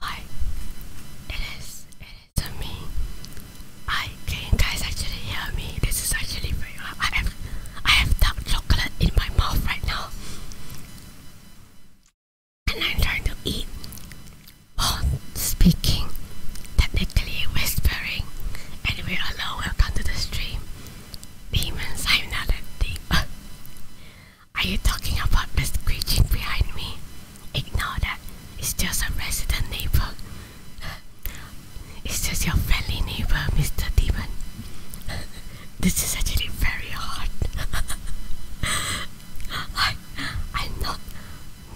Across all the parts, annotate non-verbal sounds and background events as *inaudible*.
Hi, it is, it is me. I can you guys actually hear me? This is actually for you. I have, I have dark chocolate in my mouth right now. And I'm trying to eat Oh, speaking, technically whispering. Anyway, hello, welcome to the stream. Demons, I'm not a demon. *laughs* Are you talking about the screeching behind me? Ignore that. It's just a resident neighbor. it's just your friendly neighbor, Mr. Demon. this is actually very hard. I, I'm not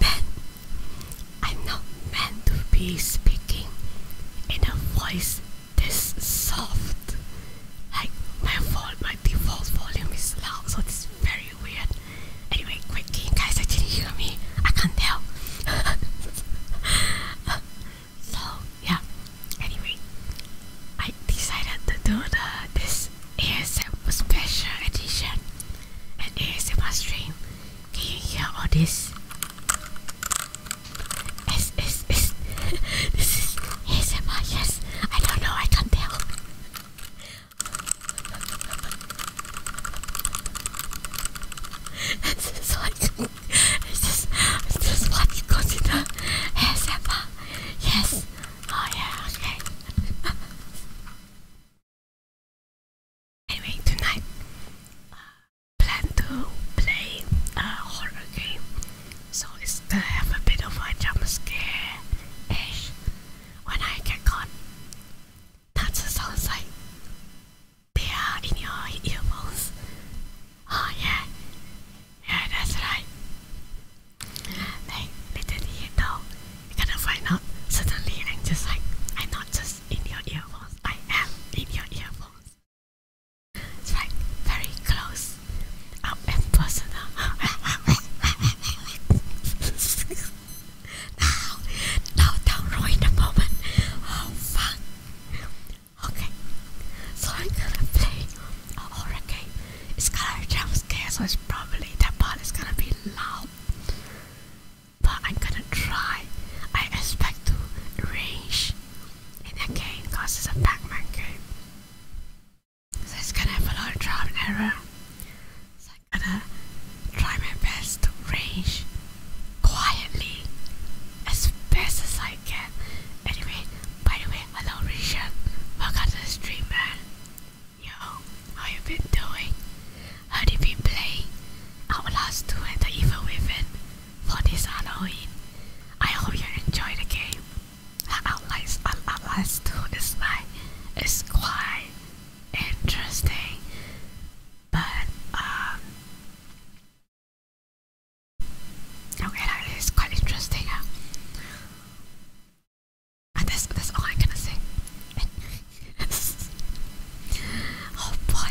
meant. I'm not meant to be speaking in a voice this soft. Like my, vol my default volume is loud, so it's very weird? Anyway, quickly, guys, didn't hear me. I can't tell. *laughs* so yeah. Anyway, I decided to do the this ASMR special edition, and ASMR stream. Can you hear all this? Yes, yes, *laughs* this is ASMR. Yes, I don't know. I can't tell it's just like it's just it's just what you consider ASMR. Yes. Oh yeah. Okay. anyway, tonight uh, plan to play a horror game, so it's to have a bit of a jump scare ish when I get gone. That sounds like they in your earphones. Oh yeah, yeah that's right. Like little do you are gonna find out suddenly i just like, I'm not just in your earphones, I am in your earphones. It's like very close, I'll emphasize now. Now, don't ruin the moment. Oh, fuck. Okay, so I'm gonna play a horror game. It's gonna jump scare, so it's probably that part is gonna be loud. But I'm gonna try. I expect to range in that game because it's a Pac-Man game. So it's gonna have a lot of trial and error. So I'm gonna try my best to rage quietly as best as I can. Anyway, by the way, hello Richard. Welcome to the stream man. Yo, how you been doing? How did we play Outlast 2 and the Evil Women for this Halloween? I hope you enjoy the game the outlines and outlines too is like it's quite interesting but um okay that is quite interesting and that's, that's all I'm gonna say *laughs* oh boy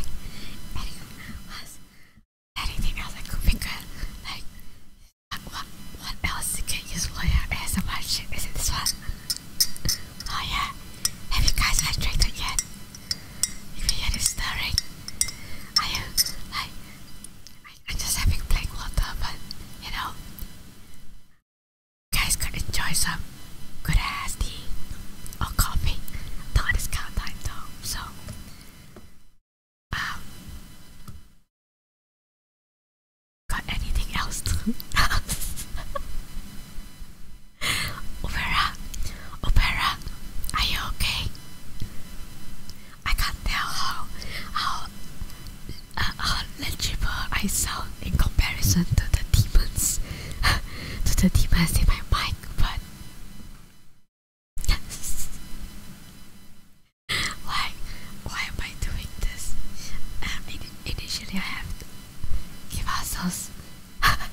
anything else, anything else I could like what, what else you can use for your ass? ASMR shit? Is it this one? Oh yeah, have you guys hydrated yet? If you hear this stirring, I am like, I, am just having plain water but, you know, guys could enjoy some good ass tea or coffee. Not this time though, so, um, Got anything else to *laughs* Opera, Opera, are you okay? I can't tell how how uh, legible I sound in comparison to the demons, *laughs* to the demons in my mic, but. *laughs* why why am I doing this? Uh, initially I have to give ourselves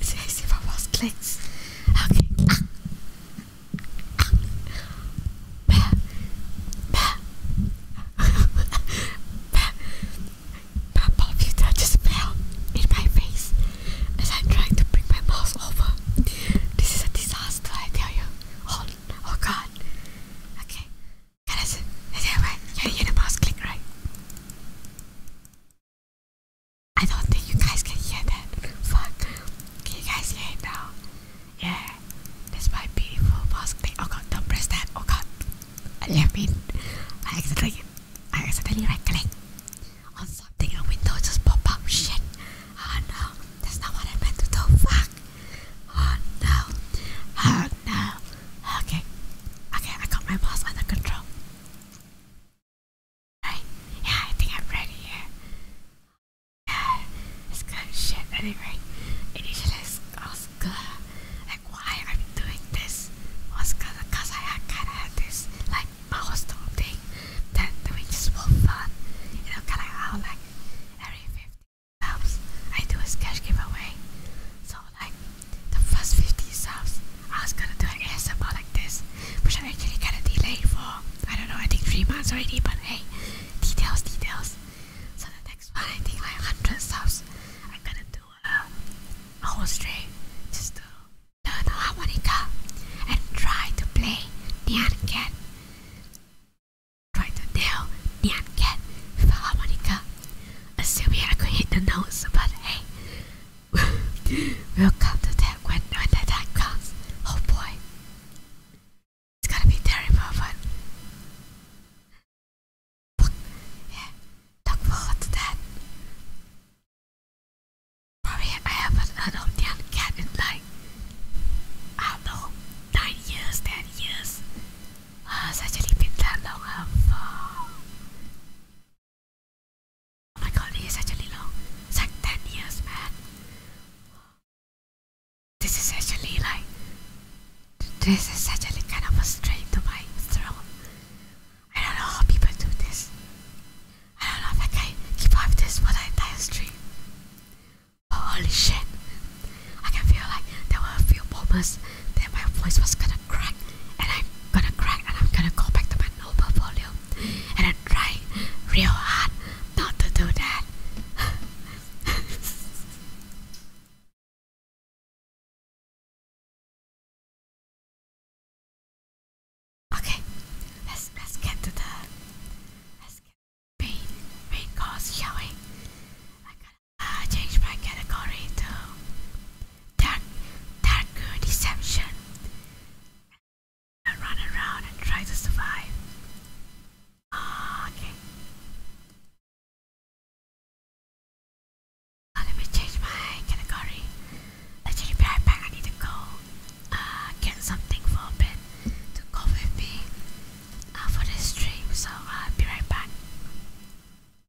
60 most clicks. Okay. My computer just fell in my face as I'm trying to bring my mouse over. This is a disaster, I tell you. Oh, oh God. Okay. Guys, you're Universe Click, right? I don't think you guys can hear that. Fuck. Can you guys hear it now? Yeah. That's my beautiful boss click. Oh god, don't press that. Oh god. I left it. I accidentally, I accidentally right click on something and window just pop up. Shit. Oh no. That's not what I meant to do. Fuck. Oh no. Uh, fuck Okay. Okay, I got my boss under control. Alright, yeah, I think I'm ready, yeah. Yeah, it's good shit anyway. Initially, I was good. Like, why i doing this was I kinda had this, like, milestone thing that, that we just for fun. You know, kinda how, like, every 50 subs, I do a sketch giveaway. So like the first 50 subs, I was gonna do an ASMR like this, which I actually kinda delayed for I don't know, I think 3 months already, but hey, details, details. So the next one, I think like 100 subs, I'm gonna do um, a, whole stream just to learn the harmonica and try to play Nyan Cat to Write the nail, neon cat, with a harmonica. Assuming I could hit the notes, but hey, *laughs* we'll come to that when, when that time comes. Oh boy. It's gonna be terrible, but. Look, that. I haven't heard of neon in like, I know, 9 years, 10 years uh, ah, Sajali Pintar Long have ah, oh my god he actually long like 10 years man this is actually like this is actually kind of a strain to my throat I don't know how people do this I don't know if I can keep up this for the entire stream oh, holy shit I can feel like there were a few moments that my voice was gonna crack, and I'm gonna crack, and I'm gonna go back to my normal volume, and I'm trying real hard not to do that. *laughs* okay, let's let's get to the let's get main main course, shall I change my category to dark, dark deception and run around and try to survive. Uh, okay. Uh, let me change my category. Actually, be right back. I need to go uh, get something for a bit to go with me uh, for this stream. So, I'll be right back.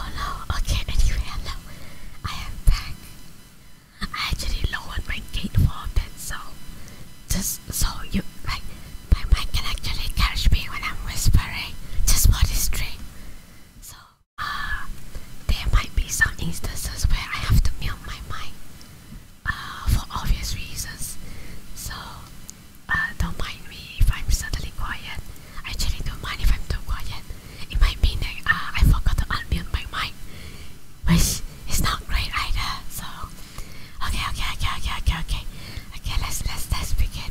Oh no, okay, anyway, hello. I am back. I actually lowered my gate for a bit, so just so you, like, my mic can actually catch me when I'm whispering just for this tree. So uh, there might be some instances where I have to mute my mic uh, for obvious reasons. So uh, don't mind me if I'm suddenly quiet. I actually don't mind if I'm too quiet. It might mean that uh, I forgot to unmute my mic, which is not great either. So okay, okay, okay, okay, okay, okay. Okay, let's let's let's begin.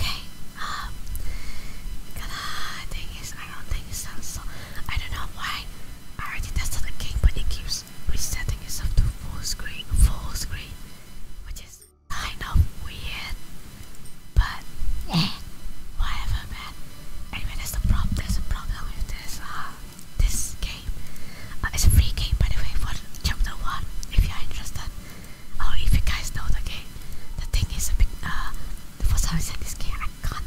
Okay, um, the thing is, I don't think it sounds so. I don't know why. I already tested the game, but it keeps resetting itself to full screen, full screen, which is kind of weird. But eh, whatever, man. Anyway, that's the problem. There's a problem with this uh, this game. Uh, it's a free game, by the way, for chapter one. If you are interested, or oh, if you guys know the game, the thing is a bit. Uh, for some reason, this game I can't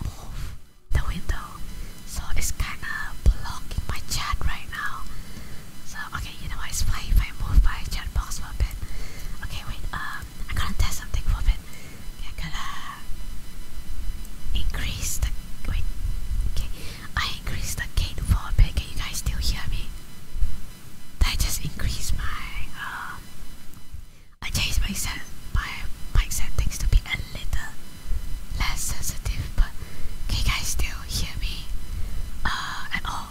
move the window, so it's kind of blocking my chat right now. So okay, you know what? It's fine if I move my chat box for a bit. Okay, wait. Uh, I'm gonna test something for a bit. I'm to increase the wait. Okay, I increased the gate for a bit. Can you guys still hear me? I just increased my um, I changed my set my mic settings to be a little less sensitive, but can you guys still hear me? Uh, at all?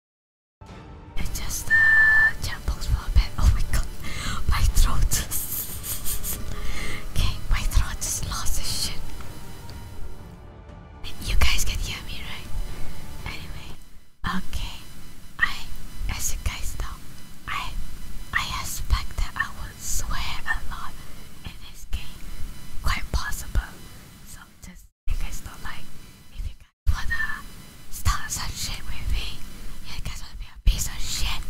It's just the uh, jumbles for a bit. Oh my god, my throat. okay, my throat just lost its shit. you guys can hear me, right? Anyway, okay. I, as you guys know, I, I expect that I would swear a lot in this game. Quite possible. So just, you guys do like, if you for the stars and shit with me. You guys wanna be a piece of shit?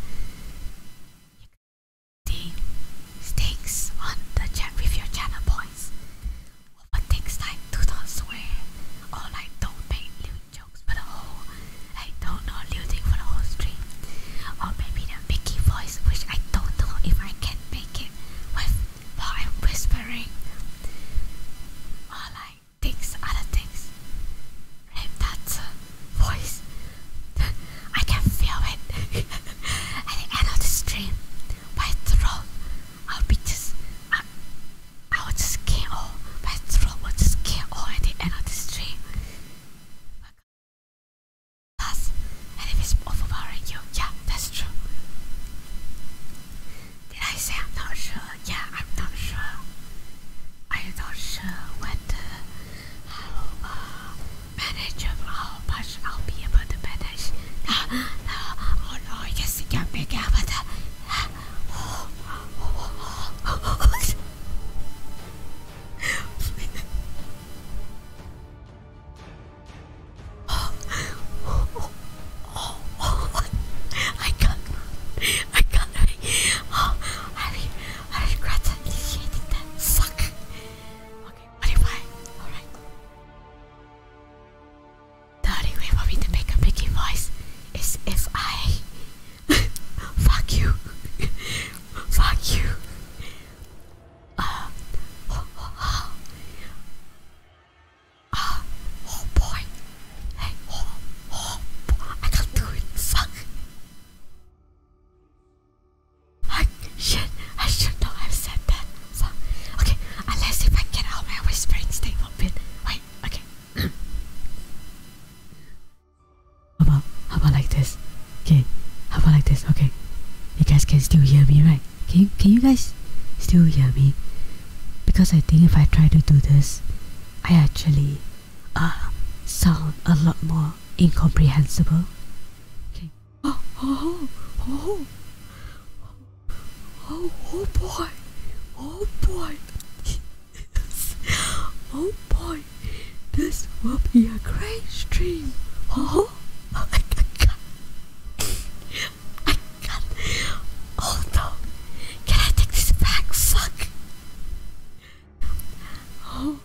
The stakes on the chat with your channel points. Over things like do not swear or like don't make lewd jokes for the whole like don't know lewding for the whole stream. Or maybe the Mickey voice which I don't know if I can make it with while I'm whispering. Or like things, other things. Right, voice. *laughs* I can feel it. *laughs* At the end of the stream, my throat, I'll be just, I, I will just KO. My throat will just KO at the end of the stream. Plus, and it's overpowering you, yeah, that's true. Did I say I'm not sure? Yeah, I'm not sure. I'm not sure whether how much I'll be able to manage. No, no, oh no, yes, you can make out that oh, oh, I can't, I can't, oh, I, I regret initiating that, suck, okay, what alright, the only way for me to make a Mickey voice is if I, *laughs* fuck you, *laughs* fuck you, uh, *gasps* oh, oh, oh, oh, oh boy, I can't do it. Fuck. I shit. I should not have said that. Fuck. Okay, unless if I get out my whispering stay open. Wait. Okay. how about how about like this? Okay. How about like this? Okay. You guys can still hear me, right? Can you, can you guys still hear me? Because I think if I try to do this, I actually uh, sound a lot more incomprehensible. Okay. *gasps* Oh, oh, oh, oh, oh boy, oh boy, oh boy, this will be a great stream. Oh, I, I can't, I can't, Oh no! Can I take this back? Fuck! Oh,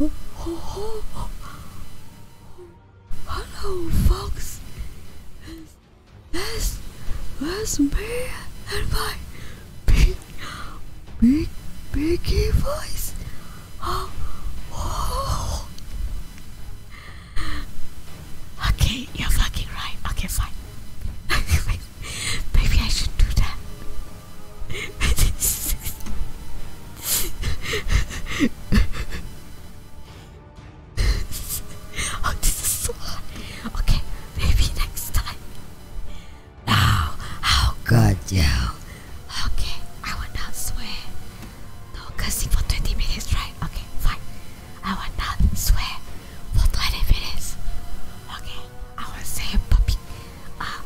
oh, oh, Hello, folks! That's, that's me and my big, big, big voice! Oh, oh. Okay, you're fucking right. Okay, fine. *laughs* *laughs* Maybe I should do that. *laughs* oh, this is so hot. Okay, maybe next time. Now, how good Okay, I will not swear. No cursing for 20 minutes, right? Okay, fine. I will not swear. What 20 minutes. Okay, I will say puppy. Uh,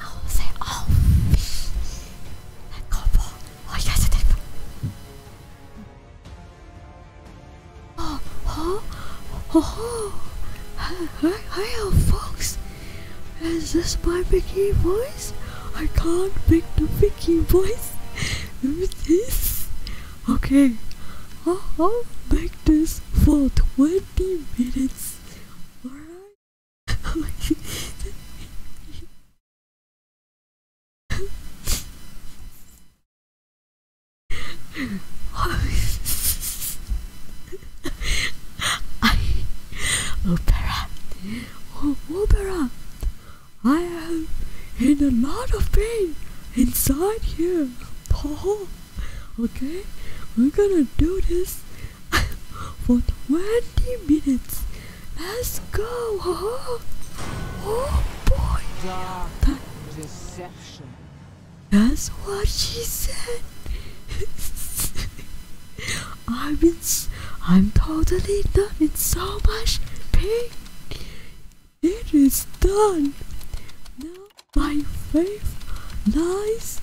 I will say oh. Combo. Oh, yes, it is. Oh, oh, oh, hi, hi, hi, folks. Is this my Vicky voice? I can't make the Vicky voice. *laughs* Who's this? Okay, I'll, make this for 20 minutes. Alright? *laughs* Uh, opera oh, opera I am in a lot of pain inside here tall. Okay, we're gonna do this *laughs* for 20 minutes. Let's go. Oh boy. That's what she said. I'm *laughs* in, I'm totally done in so much pain. It is done my faith lies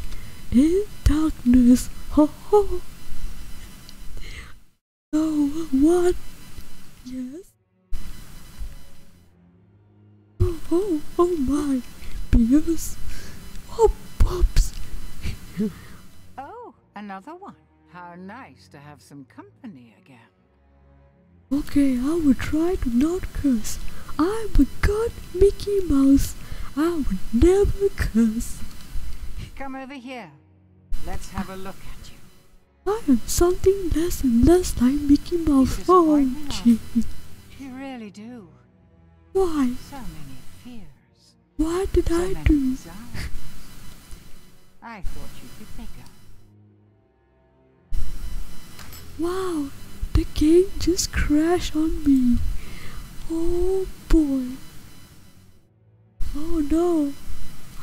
in darkness. Ho ho! No one. Yes. Oh, oh, oh my. Beers. Oh, pops. oh, another one. How nice to have some company again. Okay, I will try to not curse. I'm a good Mickey Mouse. I would never curse. Come over here. Let's have a look at you. I am something less and less like Mickey Mouse. Oh, gee. You really do. Why? So many fears. Why did I do? *laughs* I thought you'd be bigger. Wow, the game just crashed on me. Oh boy. Oh no,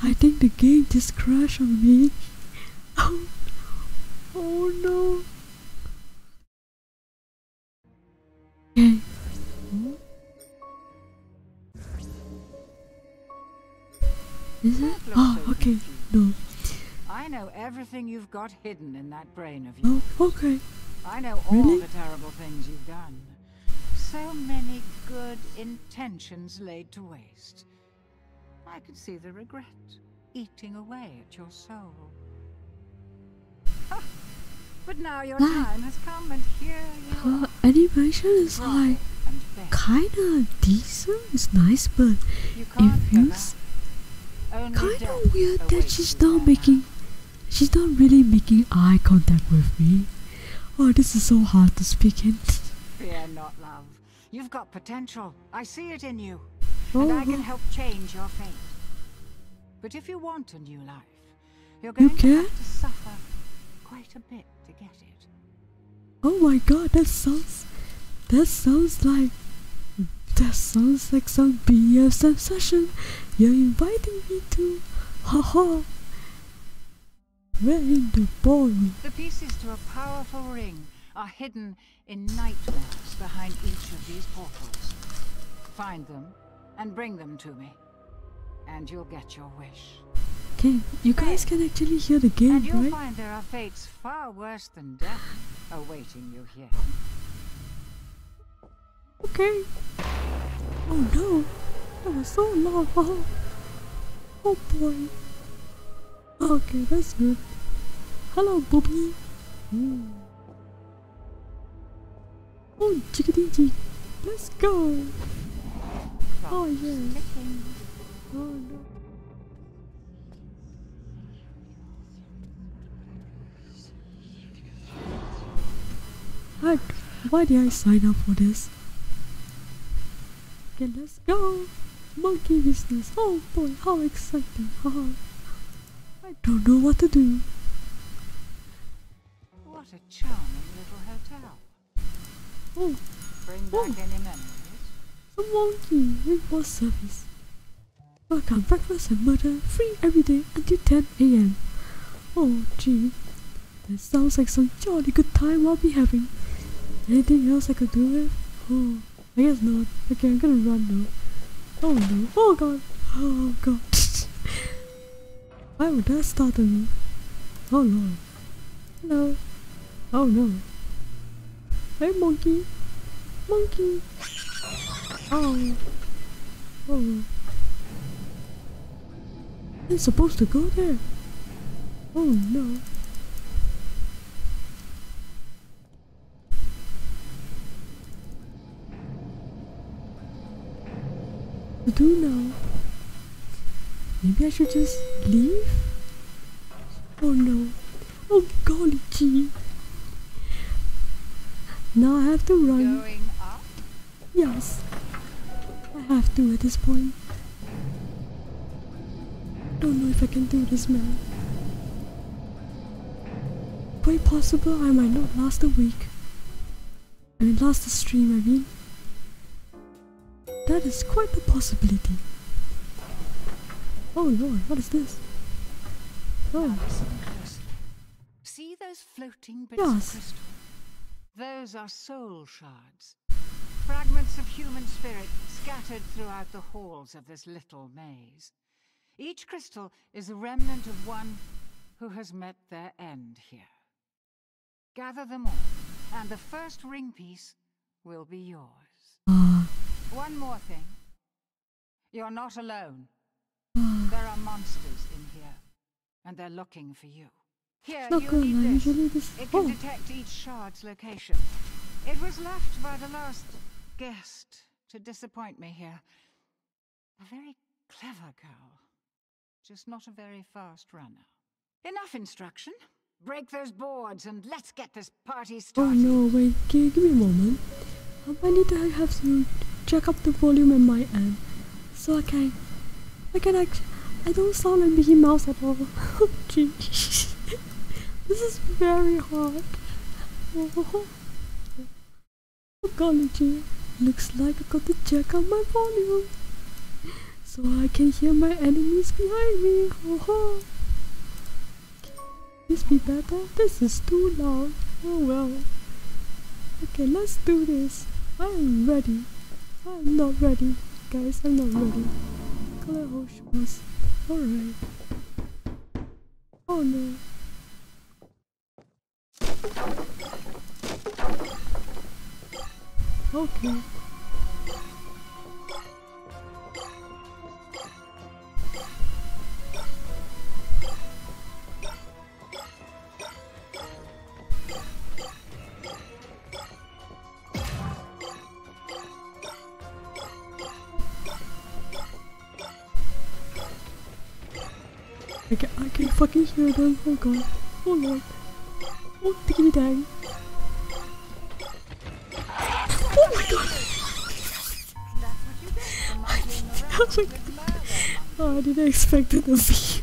I think the game just crashed on me. *laughs* oh, oh no. Is it? Oh, okay. No. I know everything you've got hidden in that brain of oh, yours. okay. I know all really? the terrible things you've done. So many good intentions laid to waste. I can see the regret eating away at your soul. But now your time has come and here you uh, animation is like kinda decent, it's nice, but infused. Kinda weird that she's not making, she's not really making eye contact with me. Oh, this is so hard to speak in. Fear not, love. You've got potential. I see it in you, oh, and I can help change your fate. But if you want a new life, you're going to have to suffer quite a bit to get it. Oh my god, that sounds. That sounds like. That sounds like some BSM session you're inviting me to. Haha. Where in the boy? The pieces to a powerful ring are hidden in nightmares behind each of these portals. Find them and bring them to me, and you'll get your wish. Okay, you guys can actually hear the game, and you find there are fates far worse worse death awaiting you here. Okay. Oh no, that was so lava. Oh, oh boy. Okay, that's good. Hello, Bobby. Mm. Oh, chickadee -chick. Let's go. oh yeah. Ticking. Oh no. What? Why did I sign up for this? Okay, let's go! Monkey business! Oh boy, how exciting! Haha! I don't know what to do. What a charming little hotel. Oh. Some wonky meatball service. Welcome breakfast and murder free every day until 10 a.m. Oh gee, that sounds like some jolly good time I'll be having. Anything else I could do with? Oh, I guess not. Okay, I'm gonna run now. Oh no, oh god, oh god. *laughs* Why would that startle me? Oh no! No! Oh no. Hey, monkey. Monkey. Oh. Oh. I'm supposed to go there. Oh no. I do now. Maybe I should just leave? Oh no. Oh golly gee. Now I have to run. Yes. I have to at this point. Don't know if I can do this man. Quite possible I might not last a week. I mean last the stream I mean. That is quite the possibility. Oh lord, what is this? Oh. those floating bits yes. Those are soul shards. Fragments of human spirit scattered throughout the halls of this little maze. Each crystal is a remnant of one who has met their end here. Gather them all, and the first ring piece will be yours. Ah. one more thing. You're not alone. there are monsters in here, and they're looking for you. Here, you need uh, this. It can detect each shard's location. It was left by the last guest to disappoint me here. A very clever girl, just not a very fast runner. Enough instruction. Break those boards and let's get this Oh no, wait, give, me a moment. Um, I need to have to check up the volume in my end. So I can, I can actually, I don't sound like Mickey Mouse at all. *laughs* Jeez. this is very hard. Oh, golly gee. Looks like I got to check up my volume. So I can hear my enemies behind me. Oh, *laughs* This be better? This is too long. Oh well. Okay, let's do this. I'm ready. I'm not ready. Guys, I'm not ready. Alright. Oh no. Okay. I can, I can fucking hear them. Oh god. Oh lord. Oh, diggity dang. Oh my god! *laughs* Oh, I didn't expect it to be. *laughs* Is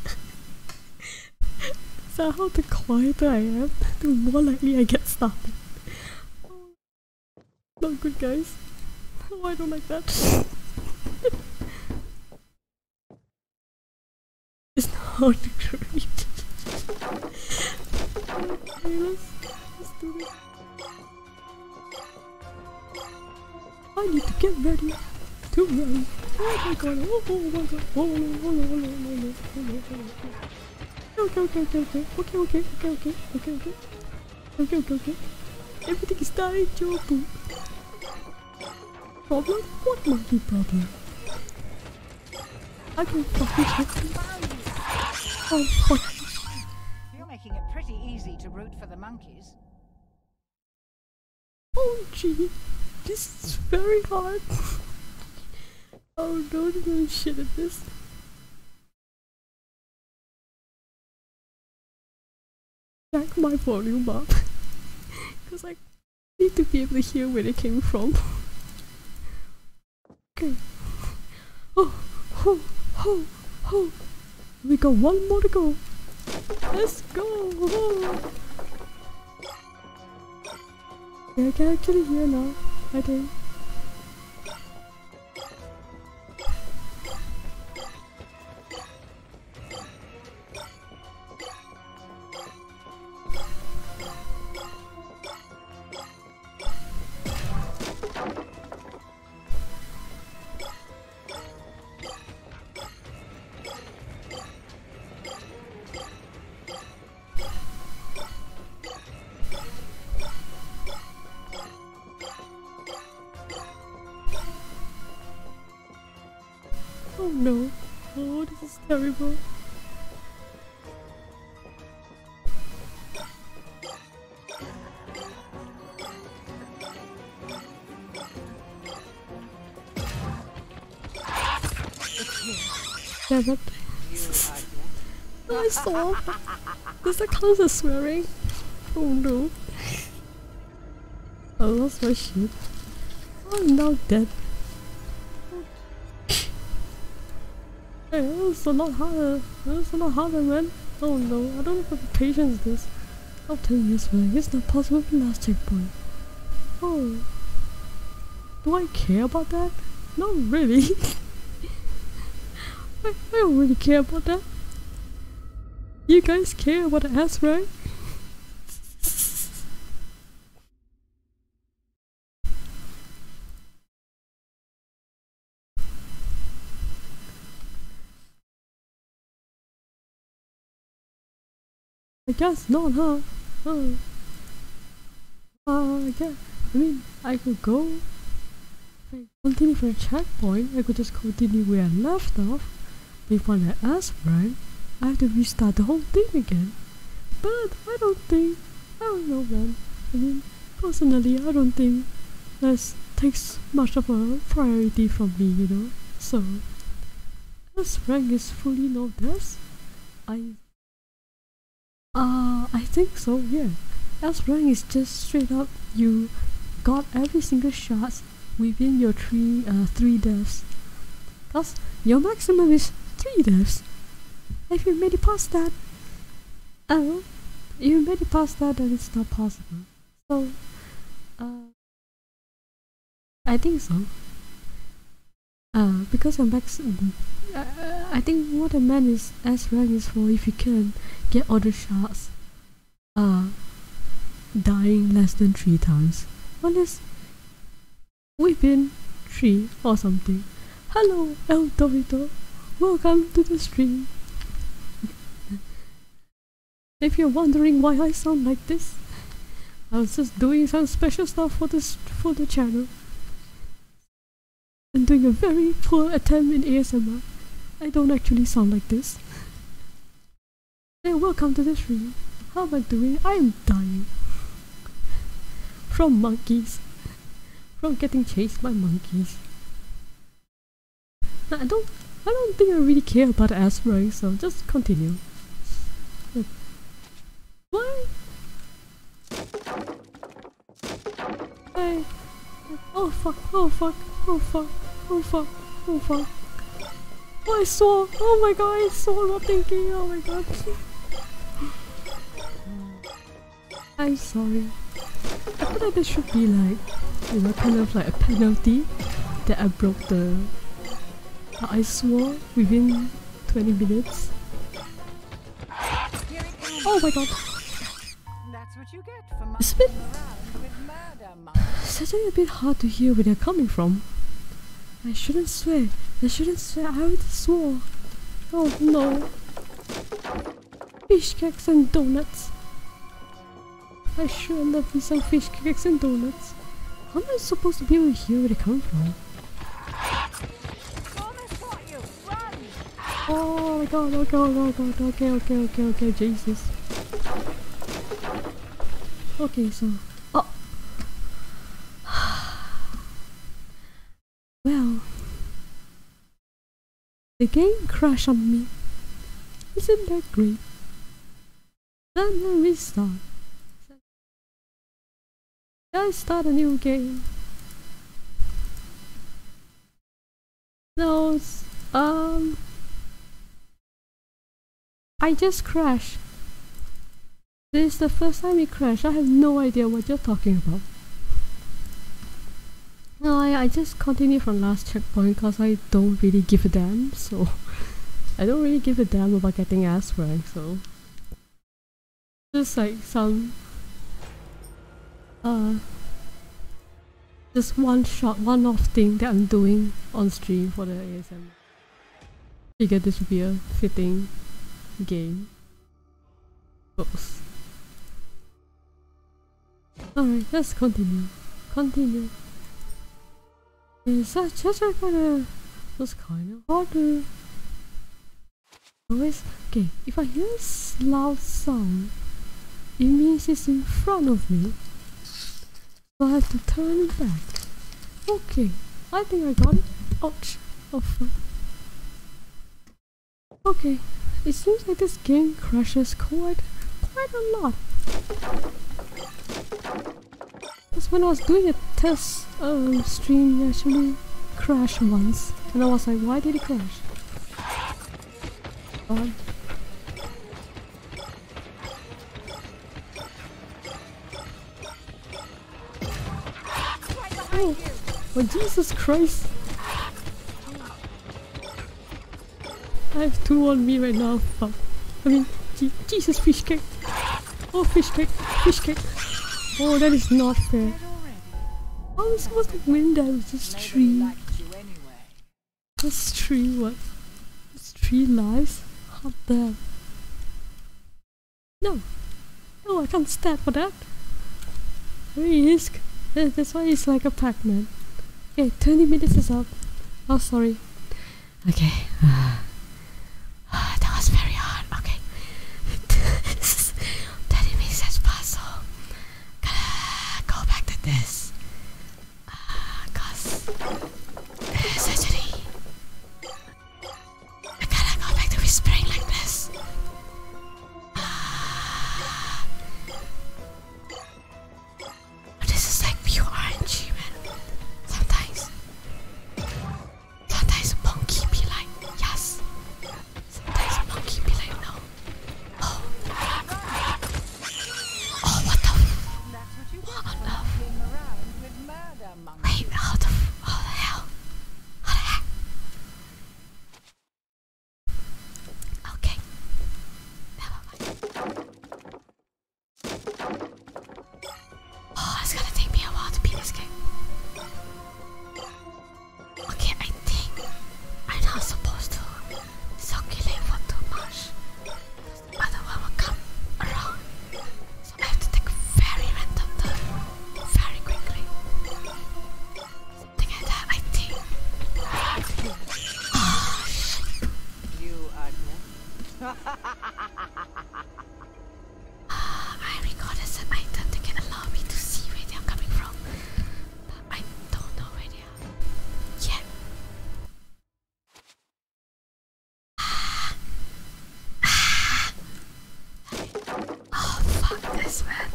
that how the quieter I am, *laughs* the more likely I get started. Oh, not good, guys. Oh, I don't like that. it's not hard to create. I need to get ready to run. Oh my god, oh, oh my god, oh no, oh no, oh no, oh no, oh no, oh no. Okay, okay, okay, okay, okay, okay, okay, okay, okay, okay. Okay, okay, okay. Everything is dying, Jobu. Problem? What might be problem? I can fucking check. Oh fuck. You're making it pretty easy to root for the monkeys. Oh gee, this is very hard. *laughs* oh no, no shit at this. Back my volume up, *laughs* cause I need to be able to hear where it came from. *laughs* Okay. Oh, ho, ho, ho. We got one more to go. Let's go. Oh. I can actually hear now. I think. Oh no. Oh, this is terrible. Yeah, that I saw. Does that count as swearing? Oh no. I oh, lost my shit. I'm now dead. Hey, it's a lot harder. It's a lot harder, man. Oh no, I don't have the patience this. I'll tell you this, man. It's not possible for the last checkpoint. Oh. Do I care about that? Not really. *laughs* I, don't really care about that. You guys care about the ass, right? I guess not, huh? Huh? uh, I guess, I mean, I could go, I continue from the checkpoint, I could just continue where I left off, but when I asked, right? I have to restart the whole thing again. But I don't think, I don't know man. I mean, Personally, I don't think that takes much of a priority for me, you know. So, as Frank is fully novice, I. Uh, I think so, yeah. As rank is just straight up you got every single shot within your three uh, three deaths. Thus, your maximum is three deaths. If you made it past that, Oh, you made it past that and it's not possible. So, uh, I think so. Uh, because i max. Uh, I think what a man is S rank is for if you can get all the shots, uh, dying less than three times. Unless within three or something. Hello, El Dorito. Welcome to the stream. *laughs* if you're wondering why I sound like this, I was just doing some special stuff for this for the channel. And doing a very poor attempt in ASMR. I don't actually sound like this. And welcome to the stream. How am I doing? I am dying. From monkeys. From getting chased by monkeys. I don't I don't think I really care about the aspirin, so just continue. Why? Hey. Oh fuck, oh fuck, oh fuck, oh fuck, oh fuck. Oh, I saw! Oh my god, I saw not thinking! Oh my god. I'm sorry. I thought that there should be like, you know, kind of like a penalty that I broke the... I swore within 20 minutes. Oh my god! That's what you get for it's a bit... It's actually a bit hard to hear where they're coming from. I shouldn't swear. I shouldn't swear. I already swore. Oh no. Fish cakes and donuts. I sure love me some fish cakes and donuts. How am I supposed to be able to hear where they come from? Oh my god, oh god, oh god, okay, okay, okay, okay, Jesus. Okay, so... Oh! *sighs* well... The game crashed on me. Isn't that great? Then I restart. Let's start a new game. No, um... I just crashed. This is the first time it crashed. I have no idea what you're talking about. No, I, I just continue from last checkpoint because I don't really give a damn, so... *laughs* I don't really give a damn about getting ass rank, so... Just like some... Uh... Just one shot, one off thing that I'm doing on stream for the ASM. Figured this would be a fitting game. Alright, oh, let's continue. Continue. Is that just kinda was kinda harder. Always okay, if I hear a loud sound, it means it's in front of me. I have to turn back. Okay, I think I got it. Ouch. Oh Okay, it seems like this game crashes quite, quite a lot. This one was doing a test uh, stream, actually crashed once. And I was like, why did it crash? God. Um, oh, well, Jesus Christ! I have two on me right now. Fuck. I mean, Jesus, fish cake. Oh, fish cake. Fish cake. Oh, that is not fair. How am I supposed to win that with this tree? This tree, what? This tree lies? Hot damn. No. No, I can't stand for that. I mean, he's, that's why like a Pac-Man. Okay, 20 minutes is up. Oh, sorry. Okay. *sighs* that was very hard. Okay. *laughs* 30 minutes has passed, so to go back to this. Uh, cause it's I gotta go back to whispering like this. Uh, but this is like pure RNG, man. Sometimes, sometimes monkey be like yes, sometimes monkey be like no. Oh, oh what the? What Wait, how the, how the hell? Okay. Oh, it's gonna take me a while to beat this game. Okay, I think I'm not supposed to circulate for too much. The one will come around. I have to take a very random turn very quickly. Something like that, I think. I recorded some item that can allow me to see where they are coming from. But I don't know where they are. Yet. Ah. Ah. Oh fuck this man.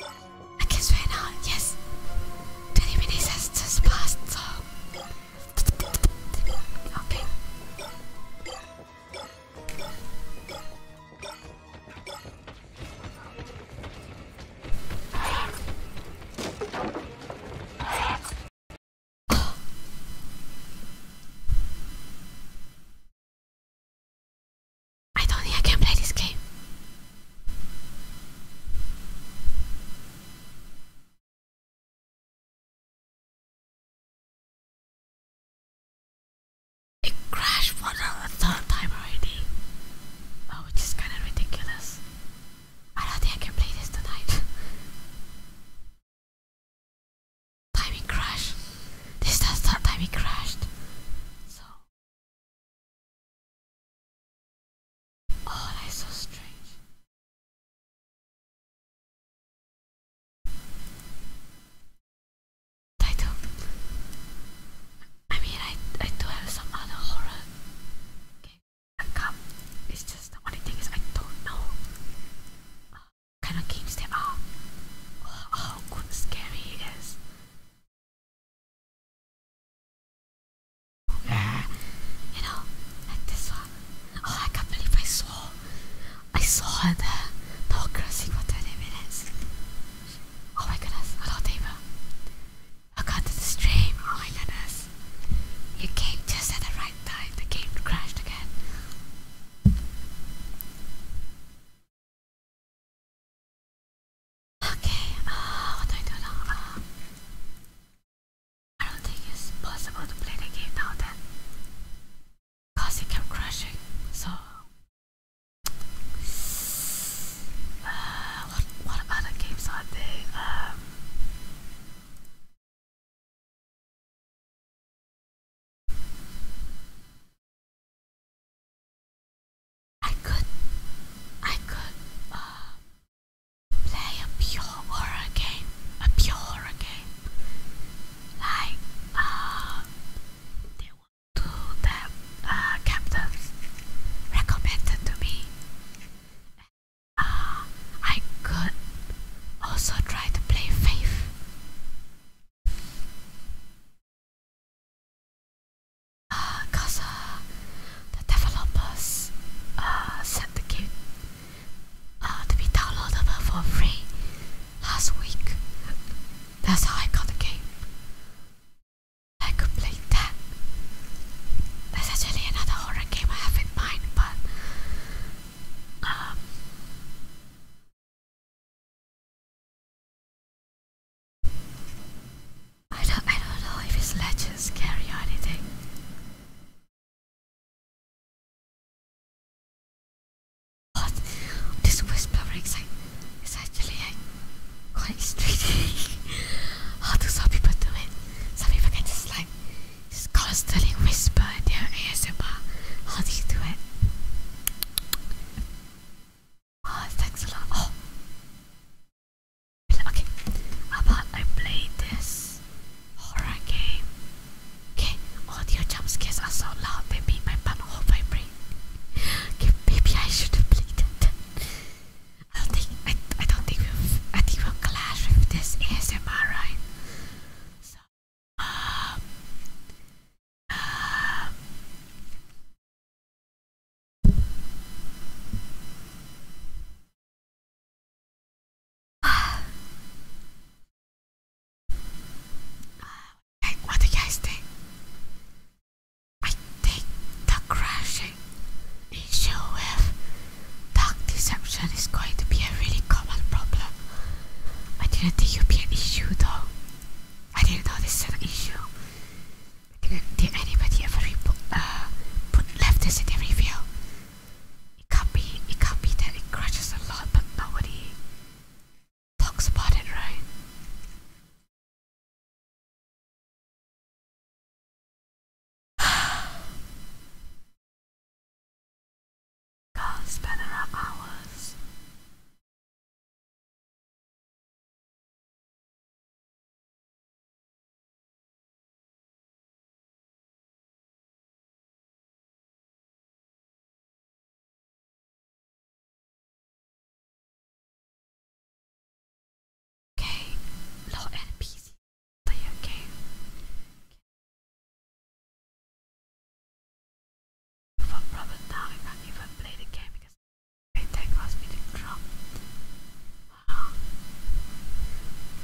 I guess right now, yes. 20 minutes has just passed, so. Okay. I don't think I can play this game. It crashed for the third time already. Oh, which is kind of ridiculous. I don't think I can play this tonight. *laughs* Timing crash. This is the third crashed. So Oh, that is so strange. I do I mean, I I do have some other horror. Okay, I come. It's just the only thing is I don't know uh, kind of games there are. Or uh, how scary is. Uh, you know, like this one. Oh, I can't believe I saw. I saw the democracy for 20 minutes. Oh my goodness, hello David. Welcome to the stream. Oh my goodness. You came just at the right time. The game crashed again. Okay, uh, what do I do now? Uh, I don't think it's possible to play the game now then. Cause it kept crashing, so... Uh, what, what other games are they? Um, I could, I could, uh, play a pure horror game, a pure horror game, like, uh, they want to that, uh, captains recommended to me. Uh, I could also try to play Faith because *sighs* uh, the developers uh, sent the game uh, to be downloadable for free last week. That's how I got the game. I could play that. There's actually another horror game I have in mind, but um, I don't, I don't know if his ledges carry anything. What? This whispering is, is actually quite intriguing. *laughs* How do some people do it? Some people can just like constantly whisper in their ASMR. How do do it? Oh, thanks a lot. Oh. Okay, how about I play this horror game? Okay, audio jump scares are so loud they make my butthole vibrate. Okay, maybe I should have played it. I don't think I, I don't think we'll I think we'll clash with this ASMR, right? So, um, um, what do you guys think? I think the crashing issue with dark deception is going to be a really common problem. I didn't think it would be an issue though. I didn't know this was an issue. Did anybody ever uh, put left this in the review? It can't be. It can't be that it crashes a lot, but nobody talks about it, right? *sighs* can spend around hours. Okay, lot and play a game. For I can't play the game because they take us with the Wow.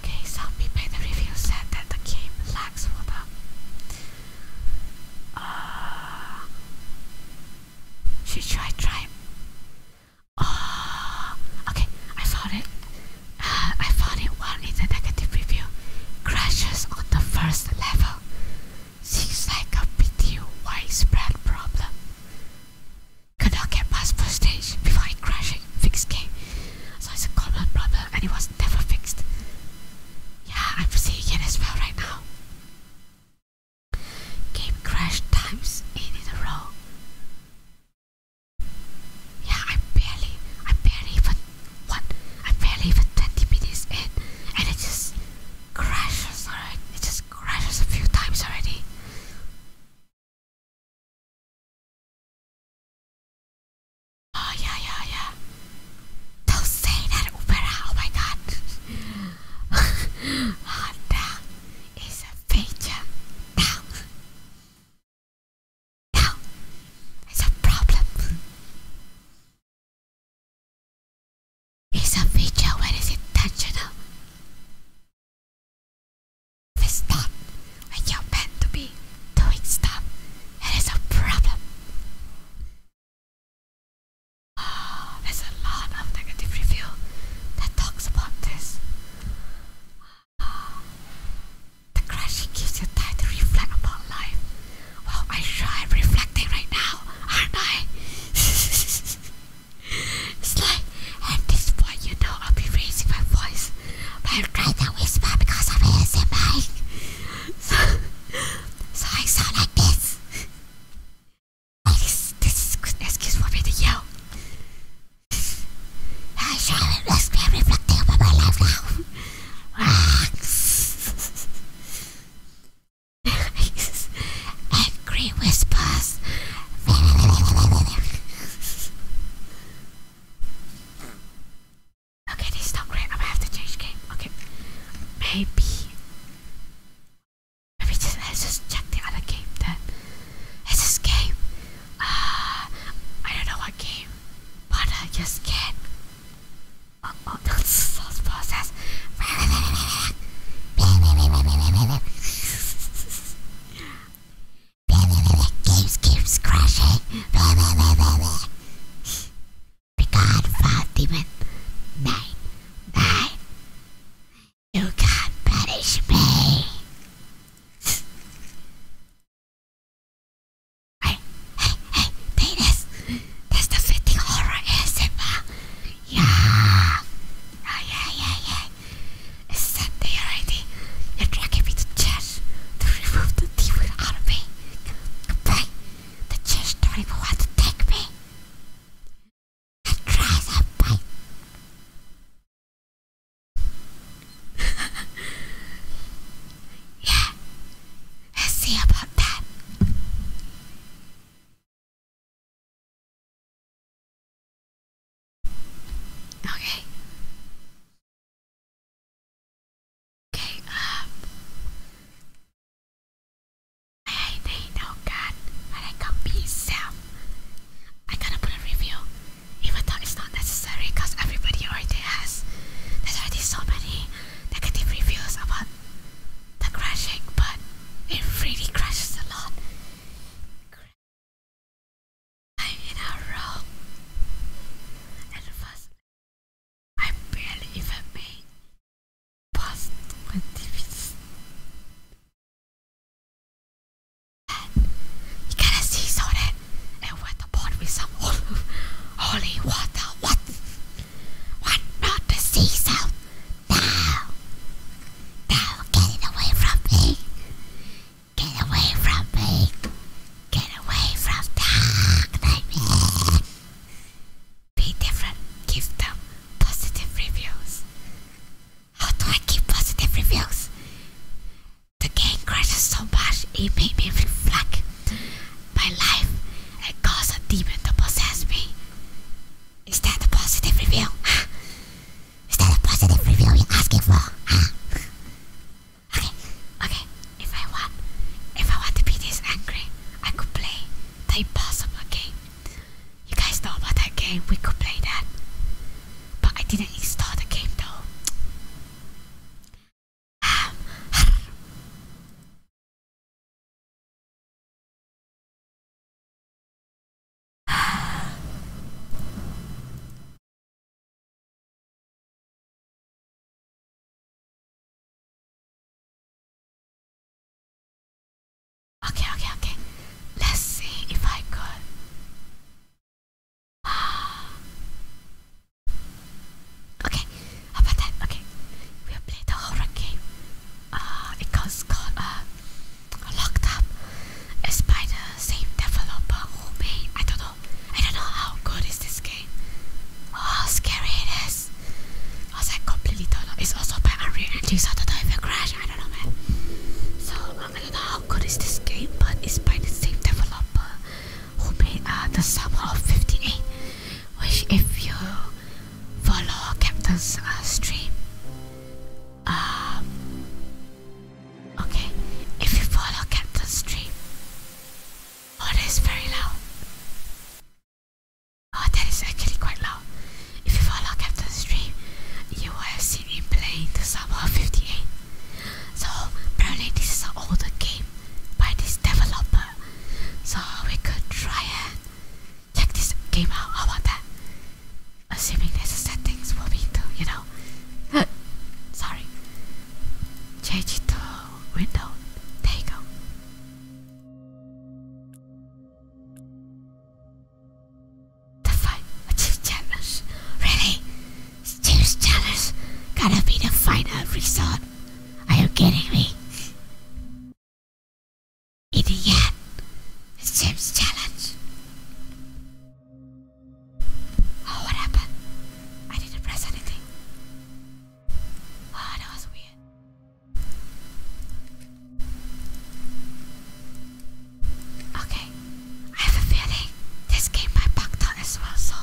Okay, some people in the review said that the game lacks for them. Uh, should I try? Oh, okay, I found it. Uh, I found it one in the negative review. Crashes on the first level. Seems like a pretty widespread problem could not get past first stage before it crashing. Fix game. So it's a common problem and it was never fixed. Yeah, I'm seeing it as well right now. Game crash times in a row. Yeah, I barely, I barely even what, I barely even 20 minutes in, and it just crashes already. It just crashes a few times already. Oh yeah, yeah, yeah. Don't say that, Oh my God. Honda a feature now. Now it's a problem. It's a feature when it's intentional. This time, when you're to be doing stuff, it is a problem. Oh, there's a lot of negative review that talks about this. Ah, the crashing gives you time to reflect about life. Well, I sure am reflecting right now, aren't I? *laughs* It's like, at this point, you know, I'll be raising my voice. I'm trying to whisper because I'm ASMR. So, so I sound like this. At this is good excuse for me to yell. I sure it makes reflecting about my life now. *laughs* Angry whispers. *laughs* Okay, this is not great. I'm gonna have to change game. Okay, maybe. Maybe let's just check the other game then. It's this game. Uh, I don't know what game, but I just can't. Oh, oh, that's *laughs* those process. *laughs* Games keeps crashing. Picard, five demon, nine, nine. You can't punish me. Hey, hey, hey, penis. That's the fitting horror ASMR. Oh, yeah. yeah, yeah, yeah guy is Sunday already. You're dragging me to church to remove the demon out of me. Goodbye. The church don't even want to take me. I try that yeah. Let's see about that. Okay. Okay, um I need no gun and I got myself. I gotta put a review. Even though it's not necessary everybody already has there's already so many negative reviews about the crashing, but it really crashes a lot. I hit her wrong. At first, I barely even made past quantities. And you kinda see so that and went upon with some holy water. What? What not the sea salt? Now, now get it away from me. Get away from me. Get away from that. Be different. Give them positive reviews. How do I give positive reviews? The game crashes so much it made me reflect my life and cause a demon to possess me. Is that a positive review? *laughs* Is that a positive review I'm asking for, huh? okay, okay. If I want, if I want to be this angry, I could play the Impossible game. You guys know about that game. We could play that, but I didn't install the game though okay, okay, okay. Let's see if I could. Ah. okay, how about that? Okay, we'll play the horror game. Uh, it goes called uh, Locked Up. It's by the same developer who made I don't know I don't know how good is this game. Oh scary it is. I was like completely turned off. It's also by Unreal Engine so I don't know if it crash, I don't know man. So um, I don't know how good is this game but it's by the same developer who made uh, the summer of 58 which if you follow Captain's uh, stream um Okay, if you follow Captain's stream, oh, that is very loud. Oh, that is actually quite loud. If you follow Captain's stream, you will have seen him playing the Summer 58. So, apparently, this is an older game by this developer. So, we could try and check this game out. How about that? Assuming there's settings will be, you know, window. *laughs* Uh, sorry. Change it to window. There you go. The fight. A cheese challenge. Really? Cheese challenge? Gotta be the final result. Are you kidding me? In the end, it's Jim's challenge. Oh, what happened? I didn't press anything. Oh, that was weird. Okay, I have a feeling this game might bug out as well, so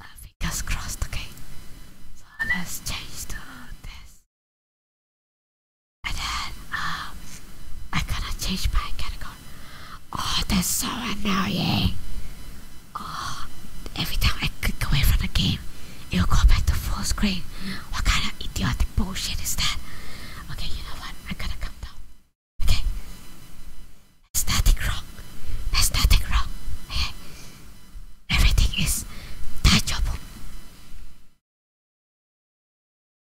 uh, fingers crossed, okay? So let's change to this. And then um, I gotta change my category. Oh, that's so annoying. Oh, every time I click away from the game, it'll go back to full screen. What kind of idiotic bullshit is that? Okay, you know what? I'm gonna come down. Okay. There's nothing wrong. There's nothing wrong. Okay. Everything is tangible.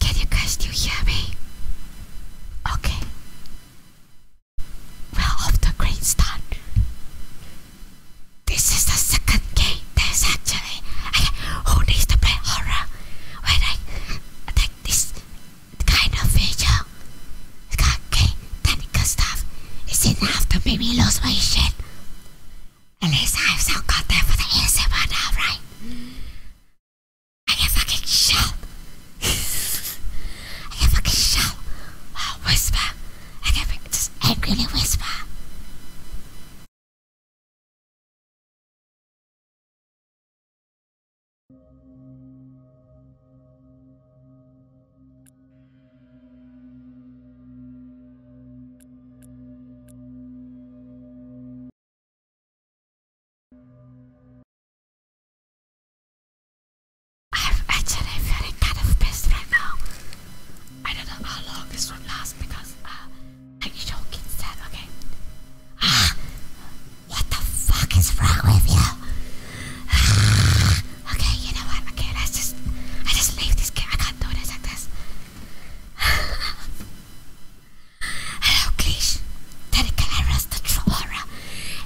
Can you guys still hear me? Okay. Well, off the great start. This is the second game. There's actually I, who needs to play horror when I attack this kind of feature. Okay, technical stuff is enough to make me lose my shit. At least I have some content for the ASMR now, right? I can fucking shout. *laughs* I can fucking shout. Wow, whisper. I can practice angrily whisper. I'm actually feeling kind of pissed right now. I don't know how long this will last because I need to get set, okay? Ah, what the fuck is wrong with you? Ah, okay, you know what? Okay, let's just, I just leave this game. I can't do this like this. *laughs* Hello, Cleash. Then can arrest the true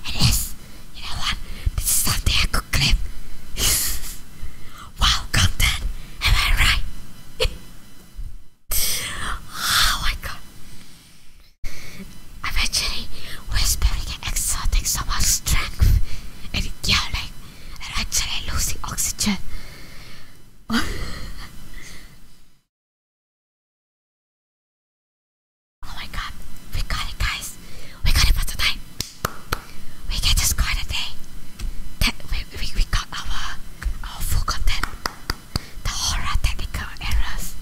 It is, you know what? This is something I could clip. wow, content, am I right? oh I'm actually whispering and exerting so much strength and yelling and actually losing oxygen. Oh my god, we got it guys. We got it for tonight. We get to score today. That we, we, we got our our full content. The horror technical errors.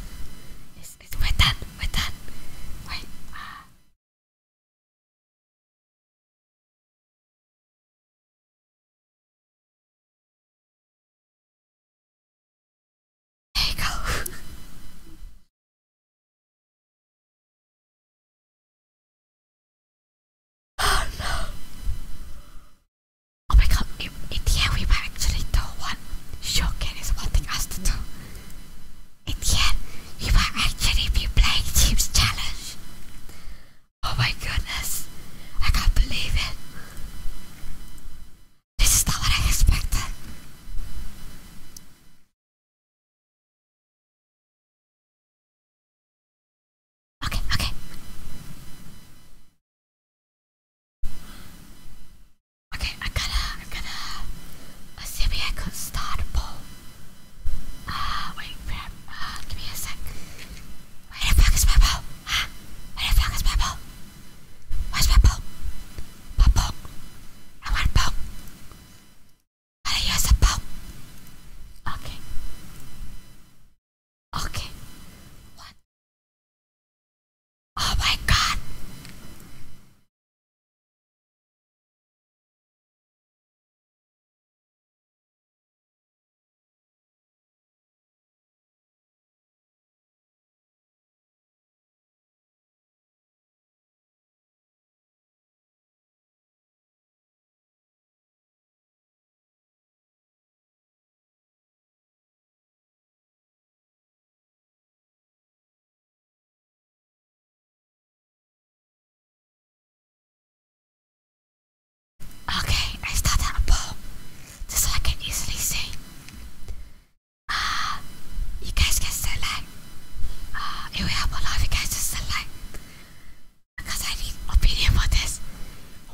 It's, it's we're done, we're done. Wait, uh. there you go. *laughs* Oh no! Oh my god, in, in we were actually the one showcase wanting us to do. In the end, were actually playing Teams Challenge. Oh my goodness, I can't believe it. This is not what I expected. Okay, okay. Okay, I gotta, I gotta, let's if I could start a poll. Uh, wait, uh, give me a sec. Where the fuck is my poll? Huh? Where the fuck is my poll? Where's my poll? My poll? I want a Araya sapaw. Okay. Okay. What? Oh my god. Okay, I started a bomb, just so I can easily see. Ah, you guys can say it will help a lot if you guys just like because I need opinion for this.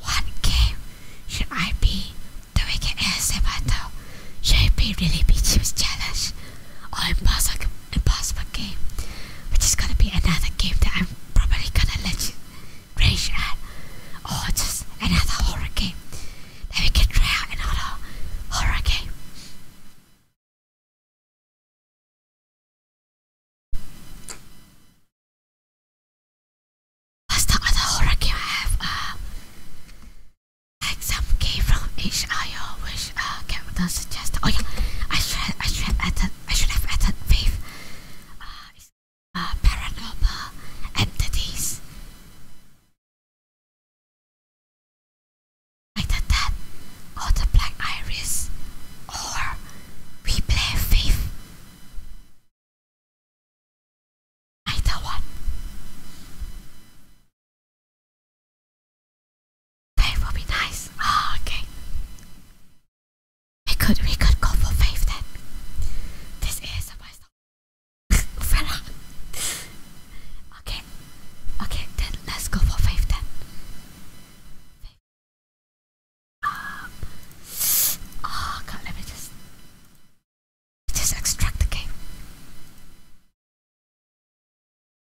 What game should I be doing an ASMR though? Should it be really be Chips Challenge or Impossible, Game? Which is gonna be another game that I'm probably gonna let you rage at or just another horror game that we can try another horror game. What's the horror game I have? Uh, like some from HIO which Captain uh, suggested. Oh yeah, I should I should have added I should have added Faith. Uh, uh, paranormal entities. Like the or the black iris, or we play thief. Either one. Faith will be nice. Oh, okay. We could we could go for faith then. This is a myself. *laughs* *laughs* okay, Okay, then let's go for five ten. then. Um, god, let me just just extract the game.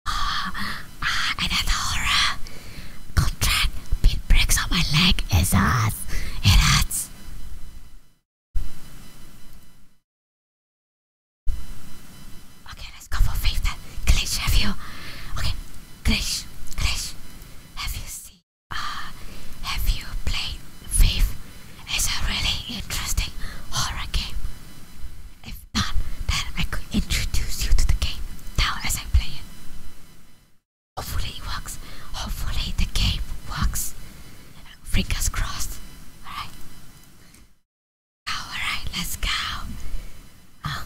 Ah, uh, uh, and horror contract pin breaks on my leg is us. It hurts. Okay, let's go for faith then. have you? Okay, Glitch, Glitch, have you seen? Uh, have you played Faith? It's a really interesting horror game. If not, then I could introduce you to the game now as I play it. Hopefully it works. Hopefully the game works. Fingers crossed. Alright. Alright, let's go. Um,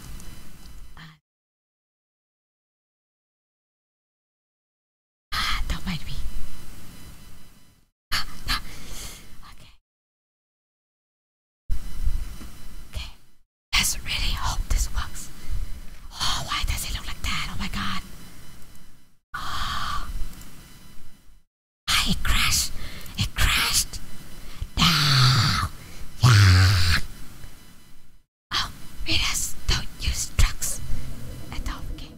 ah, don't mind Ah, Okay. Okay. Let's really hope this works. Oh, why does it look like that? Oh my god. Ah, ah it crashed. It crashed. No now. Yeah. just don't use drugs at all. Okay.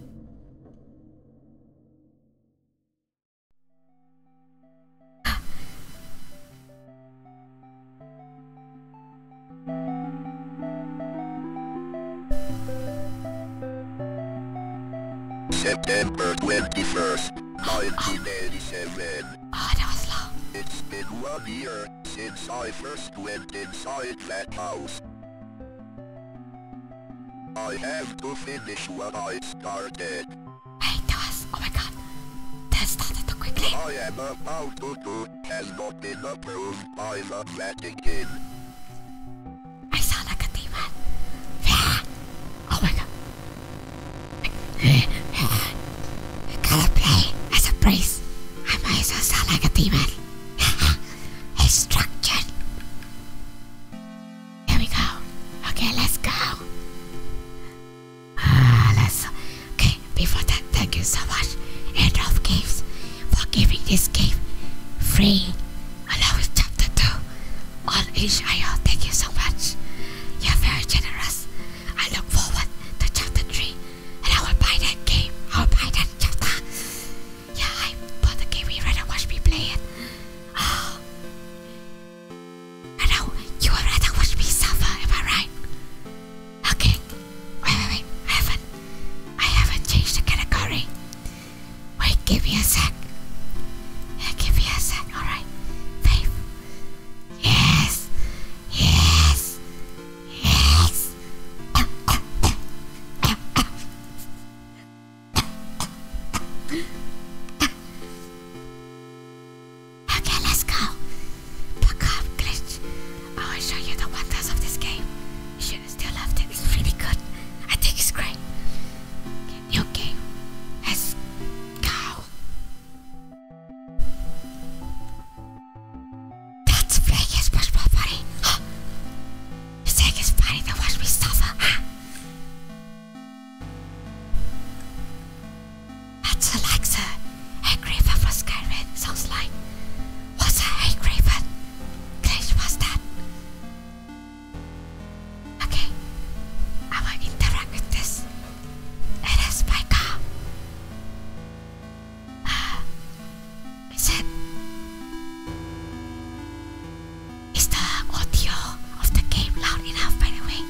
September 21st, 1987. It's been one year since I first went inside that house. I have to finish what I started. Hey, Toss! Oh my god! That started too quickly! I am about to do has not been approved by the Vatican. I saw like a demon. Oh my god. Cada play has a price. I might as well sound like a demon. Instruction. There we go. Okay, let's go. Ah, let's. Okay, before that, thank you so much, of Games, for giving this game free. I Along with chapter 2 on HIO. Thank you so much. You're very generous. I look forward to chapter 3 and I will buy that game. I will buy that chapter. Yeah, I bought the game. You rather watch me play it. Oh. I know. You would rather watch me suffer, am I right? Okay. Wait, wait, wait. I haven't. I haven't changed the category. Wait, give me a sec. give me a sec. Alright. Faith. Yes. Yes. Yes. okay, let's go. Look up, glitch. I will show you the wonders of this game. You should still love it. It's really good. I think it's great. new game. Let's go. That flag is much more funny. Huh? You think it's funny to watch me suffer, huh? That's like the angry from Skyrim sounds like. What's a hate raven? Glitch was that? Okay. I will interact with this. It is my car. Uh, ah, is it? Is the audio of the game loud enough, by the way?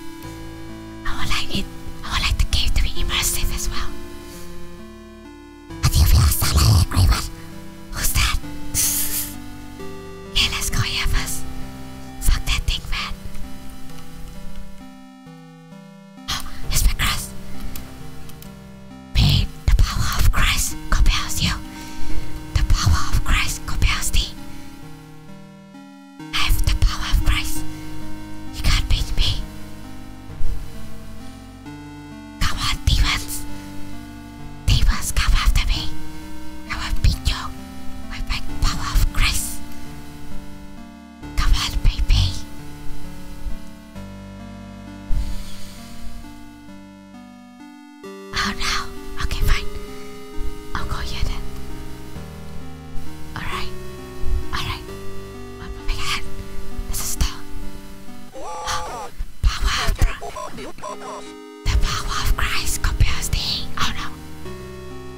I would like it. I would like the game to be immersive as well. I do you feel solid Who's that? *laughs* yeah, let's go here Fuck that thing, man. Oh, *gasps* it's my cross. the power of Christ compels you. The power of Christ compels thee. I have the power of Christ. You can't beat me. Come on, demons. Demons, come after me. I will beat you with my power of Christ. Come on, baby. Oh no. Okay, fine. I'll go here then. Alright. Alright. I'm moving This is the power of The power of Christ compels thee. Oh no.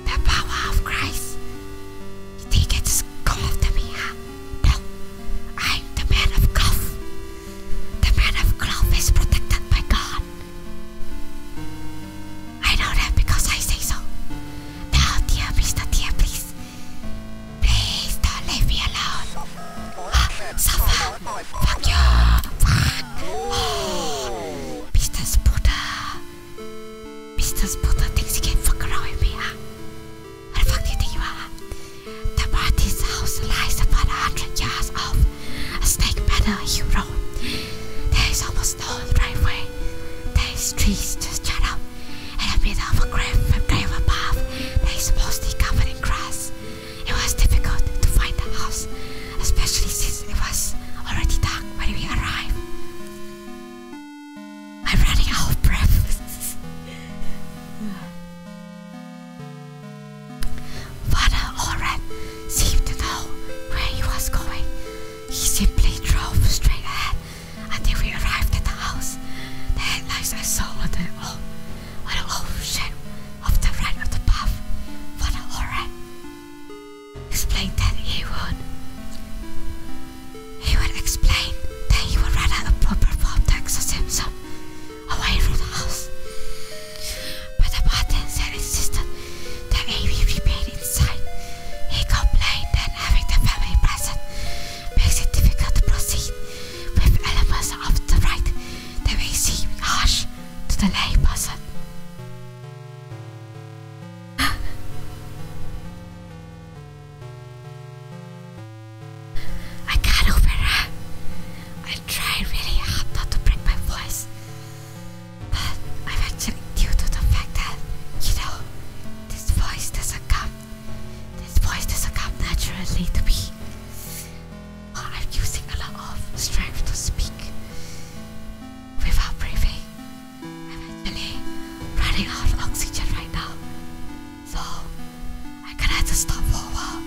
The power of Christ. You think it's cool after me, No. I'm the man of cloth. The man of cloth is protected by God. I know that because I say so. Now, dear Mr. Dear, please. Please don't leave me alone. Ah, suffer. Fuck you. Fuck. Oh. Mr. puta thinks he can fuck around with What the fuck do you think you are? The Martin's house lies about a hundred yards off a snake road. There is almost no driveway. There is trees just shut up. In the middle of a grave, a grave above, there is mostly covered in grass. It was difficult to find the house, especially since it was already dark when we arrived. I'm running out of breath. Father Oren seemed to know where he was going. He simply drove straight ahead until we arrived at the house. The headlights I saw on the oh, on the old shape of the right of the path. Father Oren Explain that, He would explain that he would rather a proper form to exorcism away from the house. But the bartender insisted that Amy remain inside. He complained that having the family present makes it difficult to proceed with elements of the rite that may seem harsh to the lay person. I got over her. I tried really hard not to break my voice. But I'm actually due to the fact that, you know, this voice doesn't come. This voice doesn't come naturally to me. I'm using a lot of strength to speak without breathing. I'm actually running out of oxygen right now. So I can have to stop for a while.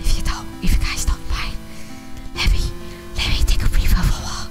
If you don't if you guys don't mind. Let me let me take a breather for a while.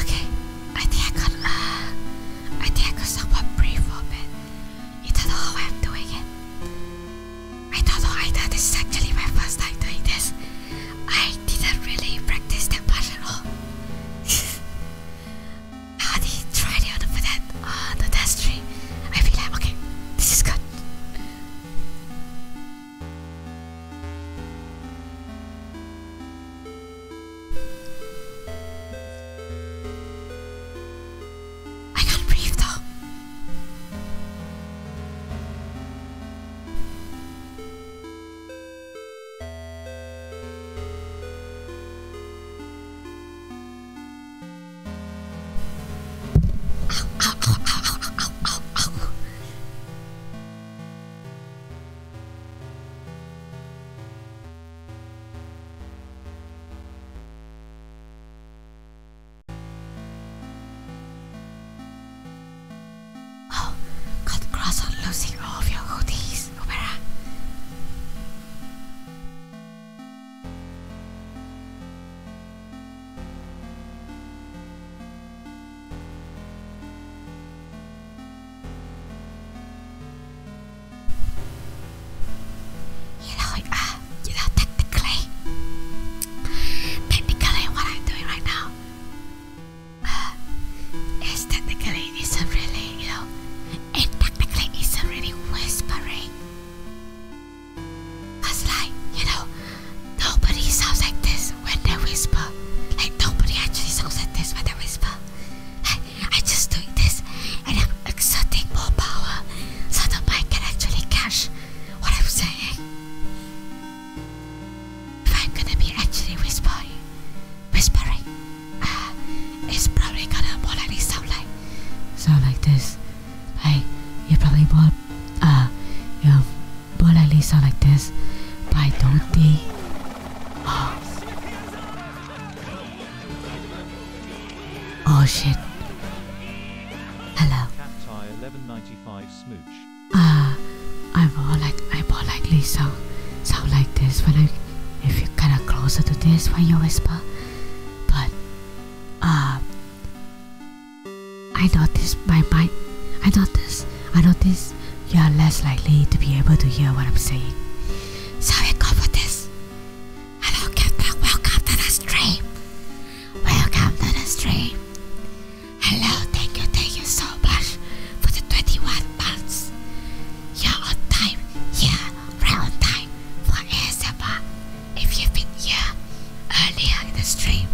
Okay, I think I got uh I think I got somewhat brief open. You don't know how I'm doing it. I don't know either this is actually my first time doing this. I didn't really practice that much at all. How did you try the other for that on uh, the test tree? I feel like okay, this is good. I can't breathe though. Oh, cut cross on losing all of your hoodies, Ubera. You know, uh, you know, technically, technically, what I'm doing right now uh, is technically isn't really, you know, it technically isn't really whispering. Cause like, you know, nobody sounds like this when they whisper. Like nobody actually sounds like this when they whisper. Like, I just doing this and I'm exerting more power so that I can actually catch what I'm saying. If I'm gonna be actually whispering, whispering, uh, it's probably gonna more likely sound like sound like this. Like you probably won't uh you but at least like this. Why don't they? Oh. oh shit. Hello. Ah, uh, I bought like I more like Lisa. Sound like this when I if you are kinda closer to this when you whisper. But ah. I noticed my by my I noticed I noticed you are less likely to be able to hear what I'm saying. So we go this. Hello Captain, welcome to the stream. Welcome to the stream. Hello, thank you, thank you so much for the 21 months. you time, yeah, right time for ASMR. If you've been here earlier in the stream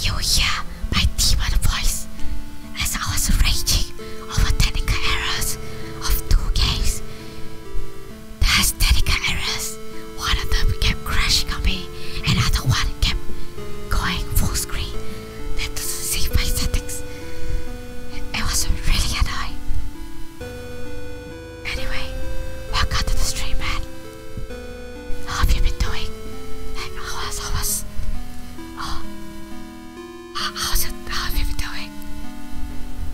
you will hear my demon voice as I was raging over technical errors of two games. There has technical errors. One of them kept crashing on me, and other one kept going full screen. That doesn't save my settings. It was really annoying. Anyway, welcome to the stream, man. How have you been doing? How was, how was, oh, how's it, how have you been doing?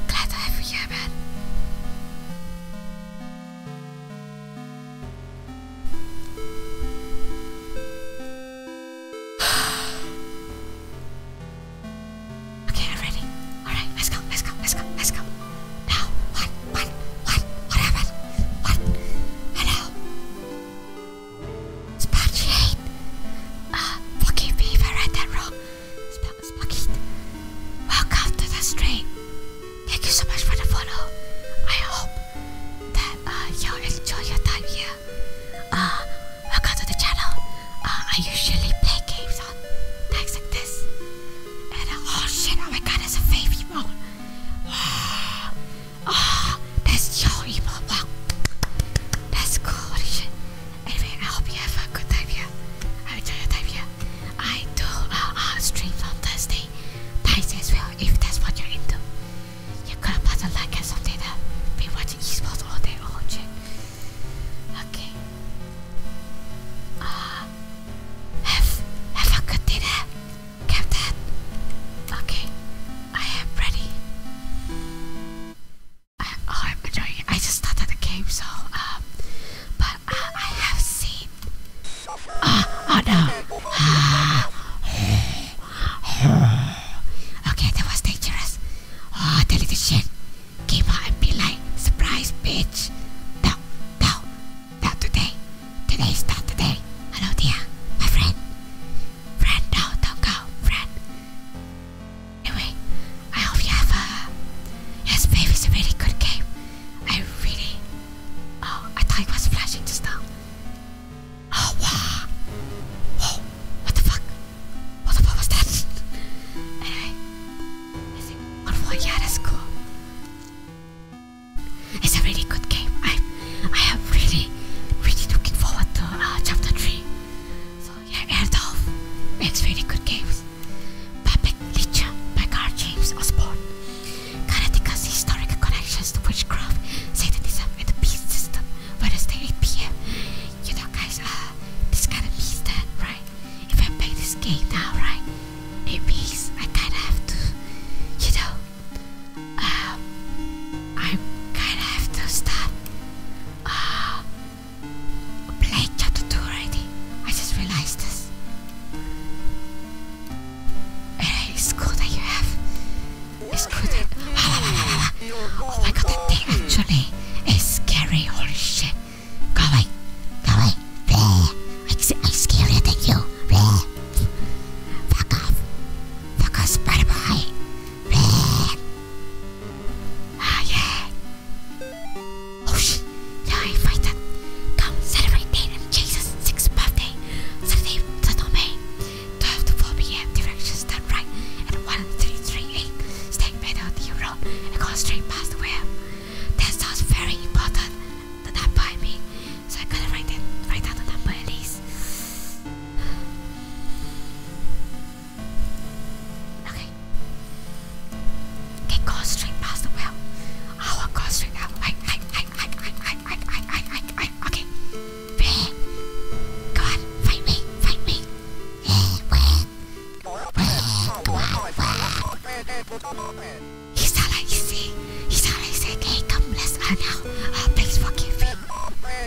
Glad to have you here, man. *sighs* okay, I'm ready. Alright, let's go, let's go, let's go, let's go what, what, what, what What? Hello? Sparky hate. Uh, forgive I read that wrong. Sp Welcome to the stream. Thank you so much for the follow. I hope that uh, you enjoy your time here. Uh, welcome to the channel. Uh, I usually play games on decks like this. Uh, oh shit, oh my god, it's a faith emote. Wow. Oh, that's so evil. Wow. That's cool. What is Anyway, I hope you have a good day, here. I enjoy your time here. I do uh, uh, streams on Thursday nights as well, if that's what you're into. You got could have a like and something that be watching esports all day all shit. Okay. Uh, have have a good dinner. Captain. Okay, I am ready. I, oh, I'm enjoying it. I just started the game, so um, but uh, I have seen. Oh, oh no. *sighs* okay, that was dangerous. Oh, the little shit came out and be like, surprise, bitch. No, no, not today. Today's not today. Hello, dear. My friend. Friend, no, don't go. Friend. Anyway, I hope you have a. Yes, babe, a really good game. I really. Oh, I thought it was flashing just now. Oh, wow. Whoa. What the fuck? What the fuck was that? anyway. I think one more. Yeah, that's cool. It's a really good game. I I am really really looking forward to uh, chapter three. So yeah, Erdolf makes very good games. Puppet Leecher by Carl James Osborne. Karateka's historic connections to witchcraft, Satanism, and the beast system. Wednesday 8 p.m. You know, guys, uh, this kind of means that, right? If I play this game now, right, it means I kind of have to, you know, um, uh, I kinda have to stop uh, playing chapter 2 already. I just realized this. It is cool that you have. It's cool that. Oh my god, that thing actually is scary. Holy shit. Go away. Go away. Bleh. I'm scarier than you. Bleh. Fuck off. Fuck off, Spider Boy. Ah, oh, shit. Now I fight them. Come celebrate Nathan Jesus' sixth birthday. Saturday, Saturday, May. 12 to 4 p.m. Directions done right at 1338 Stake Meadow, the road, and go straight past the web. That sounds very important the number I mean. So I gotta write it write down the number at least. Okay. Okay, go straight past the well. I will go straight out. I I I I I I I I I okay. Go on, fight me, fight me. Isalaise, Isalaise, hey, come, let's uh, now. Uh, please forgive me.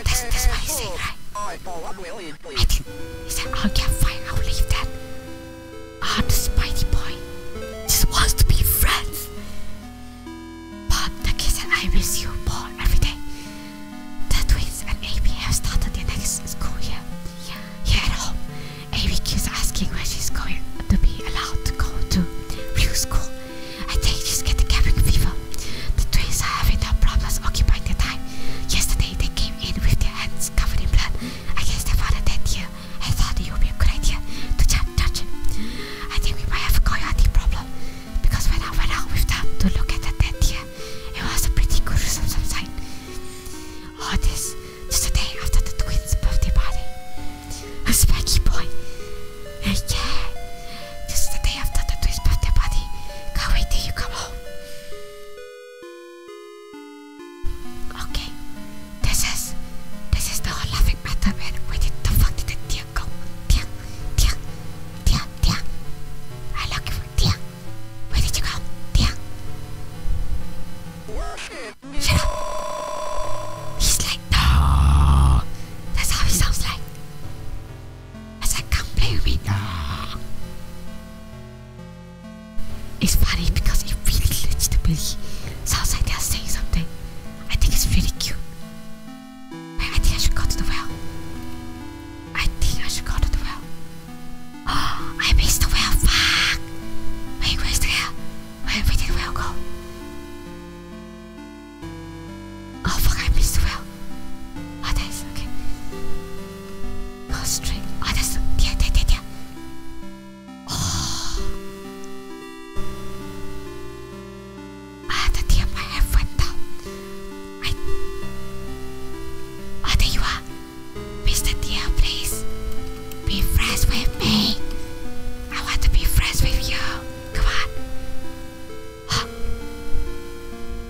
That's, that's what he's saying, right? I did. He said, oh yeah, fine, I'll leave that. Ah, oh, the Spidey boy just wants to be friends. But the kid said, I miss you more every day. The twins and Amy have started their next school year. Yeah. Here at home, Amy keeps asking when she's going to be allowed to go to real school. I think just get the cabin fever. The twins are having their problems occupying their time. Yesterday they came in with their hands covered in blood. I guess their father dead here. I thought it would be a good idea to touch him. I think we might have a coyote problem. Because when I went out with them to look at the dead deer, it was a pretty gruesome sight. All this just a day after the twins' birthday party. A specky boy. Hey, yeah. This is the day after the twist birthday party. Can't wait till you come home. Okay. This is this is the whole laughing matter man. Where did the fuck did the deer go? Deer, deer, deer, deer. I looking for deer. Where did you go? Deer. Shut up. He's like, no. That's how it sounds like. I come play with me. It's funny because it really legitimately sounds like they're saying something. I think it's really cute. I think I should go to the well. I think I should go to the well. Oh, *gasps* I missed the well. Fuck. where's the well? where did the well go? Oh fuck, I missed the well. Oh, that's okay. Oh, string. Oh, that's. Yeah, yeah, yeah, yeah. Oh. Ah, the damn, my head went down. I. Oh, there you are. Mr. Dear, please. Be friends with me. I want to be friends with you. Come on. Huh.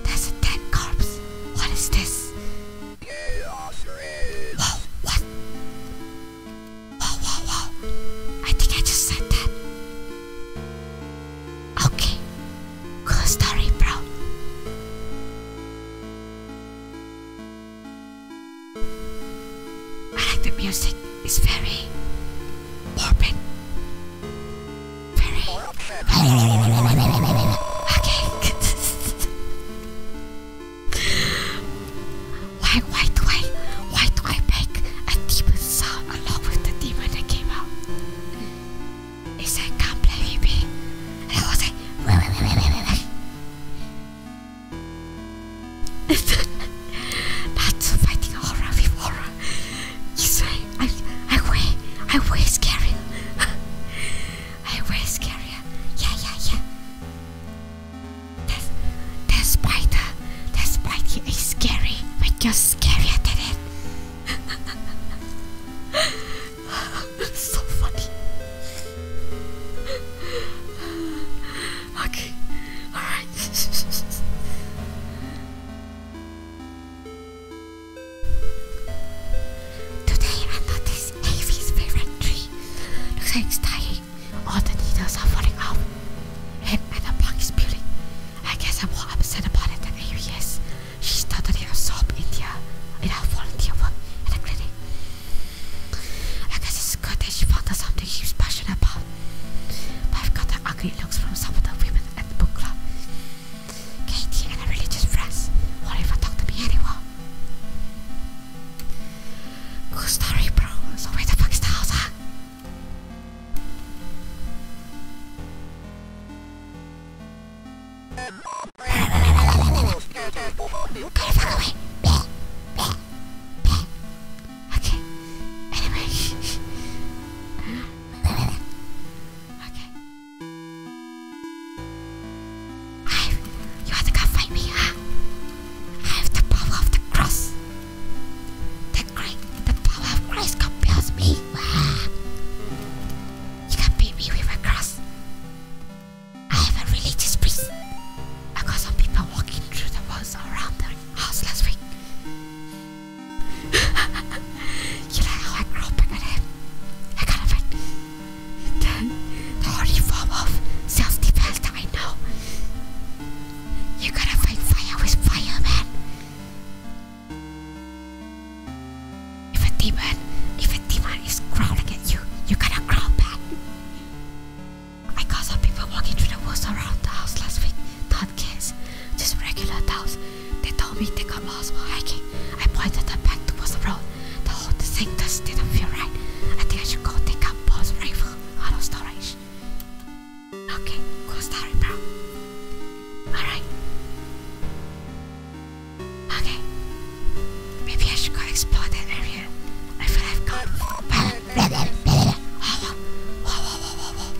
That's a dead corpse. What is this? Whoa, what? Whoa, whoa, whoa. I think I just said that. Okay. Cool story, bro. I like the music. It's very morbid. Very. *laughs* okay. *laughs* why, why do I, why do I make a demon sound along with the demon that came out? He said, "Come *laughs* That's fighting horror with horror. You say I I weigh I weigh scarier. *laughs* I weigh scarier. Yeah yeah yeah. That that spider that spider is scary, but you're scarier than it. *laughs* so funny. Okay. Alright. Today I noticed Avi's favorite tree. Looks like it's dying. All the needles are falling off. And, and the bark is peeling. I guess I'm more upset about it than Avi is. She started her sob in the in her volunteer work at the clinic. I guess it's good that she found us something he's passionate about. I've got the ugly looks from some of the women at the book club. Katie and her religious friends won't even talk to me anymore. Cool story, bro. So where the fuck is the house, huh? Okay. Anyway. *laughs* okay. I, you have to come me, huh? I have the power of the cross. The great, the power of Christ compels me. You can beat me with a cross. I have a religious priest. I got some people walking through the woods around the house last week you know how I crawl up in it? I kind of the, the only form of self-defense I know. You gotta fight fire with fire, man. If a demon, if a demon is growling at you, you gotta growl back. I got some people walking through the woods around the house last week. Not kids, just regular dogs. They told me they got lost while hiking. I pointed them back towards the road. The whole thing just didn't feel right. I think I should go take a Paul's rifle out of storage. Okay, cool story, bro. Alright. Okay. Maybe I should go explore that area. I feel I've gone. *laughs* whoa, whoa,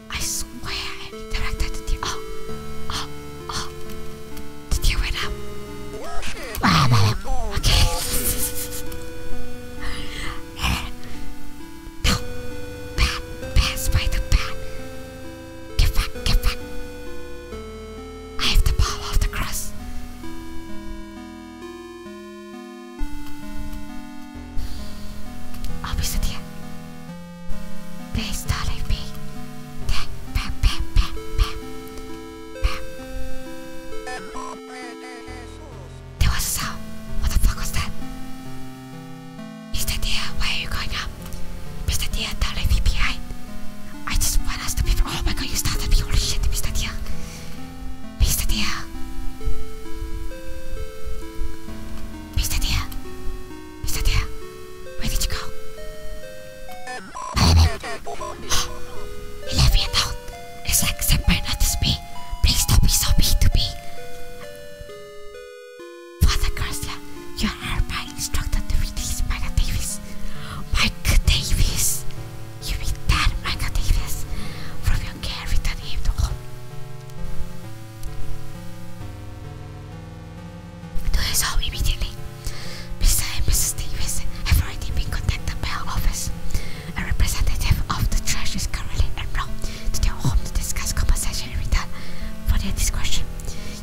I swear I directed the oh oh oh Did you win up? Okay *laughs* No Bat pass by Get back get back I have the ball off the cross I'll be sitting here. Please do me. there was a sound. What the fuck was that? Mr. Deer, why are you going Mr. Deer, don't I just want us to be. Oh my god, you started me. Holy shit, Mr. Deer. Mr. Deer. Mr. Deer. Is it there? Where did you go? Help him! he left It's like Senpai noticed me. Please don't be so mean to me. Father Garcia, you are my instructor to release Micah Davis. Micah Davis! You mean that Micah Davis? From your care, return him to home. Do his immediately. Mr. and Mrs. Davis have already been contacted by our office. A representative of the church is currently en route to their home to discuss compensation in return for their discretion.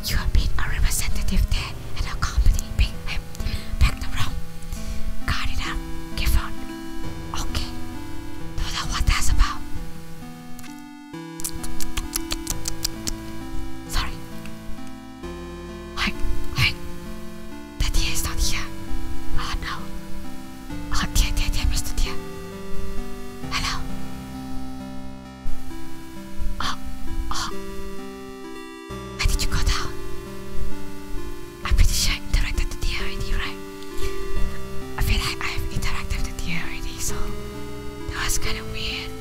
You have been a representative there and accompanying him back to Rome. Guard it up, Gifford. Okay. know what that's about. Sorry. Hey, hey. Daddy is not here. Oh no. Oh dear, dear, dear, Mr. Dear. Hello. Oh, ah, oh. Why did you go down? I'm pretty sure I interacted with the deer already, right? I feel like I've interacted with the deer already, so that was kind of weird.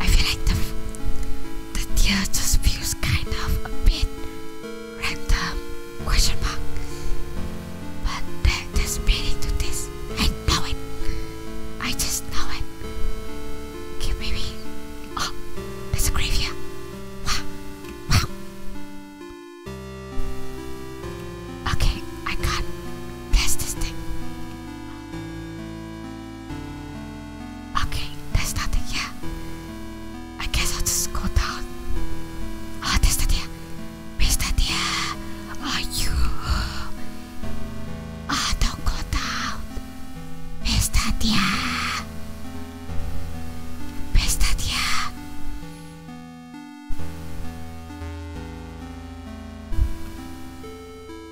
I feel like the, the tear just feels kind of a bit random question mark. But there, there's meaning to this. I know it. I just know it. Okay, maybe. Oh, there's a graveyard. Wow. Wow. Okay, I can't this thing. Okay, there's nothing here. I guess I'll just go down. Ah, oh, there's nothing here. Mr. there. are you? Ah, oh, don't go down. Mr. Deer. Mr. Deer.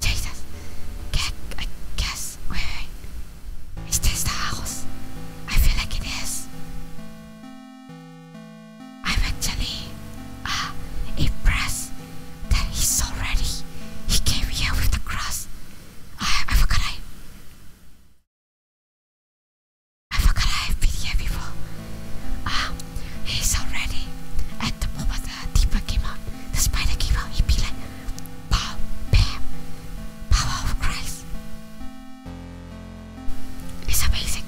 Jesus. Can I guess? Wait, wait. Is this the house? I feel like it is. I'm actually impressed that he's already He came here with the cross. I, I forgot I. I forgot I've been here before. Ah, he's already at the moment the uh, came out the spider came out, he'd be like, Bow, bam, power of Christ. It's amazing.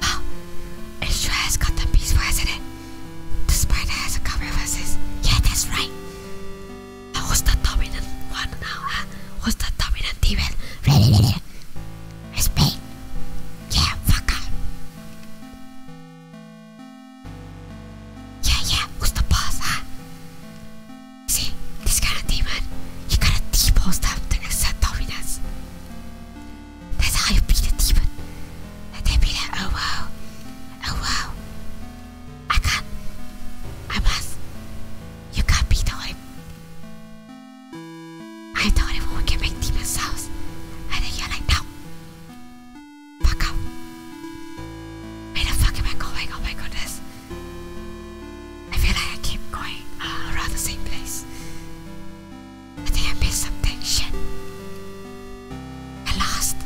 Wow, it sure got the piece for not it? The spider has a couple of verses. Yeah, that's right. Uh, who's the dominant one now, huh? Who's the dominant demon? It's me. Yeah, fuck up. Yeah, yeah, who's the boss, huh? See, this kind of demon, you gotta depose them to accept dominance. That's how you beat a demon. And they be like, oh wow, oh wow. I can't, I must. You can't beat the only. I'm the only one who can make demon sounds. And then you're like, no. Fuck up. Wait the fuck am I going? Oh my goodness. I feel like I keep going uh, around the same place. I I missed something. I lost.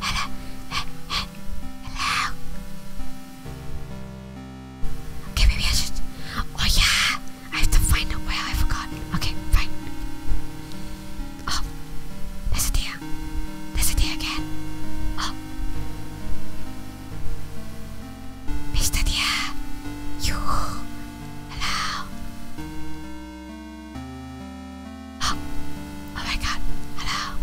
Hello. Hello. Okay, maybe I should. Oh yeah. I have to find a whale. I forgot. Okay, fine. Oh, there's a deer. There's a deer again. Oh, Mr. Dear, you, hello. Oh, oh my God, hello.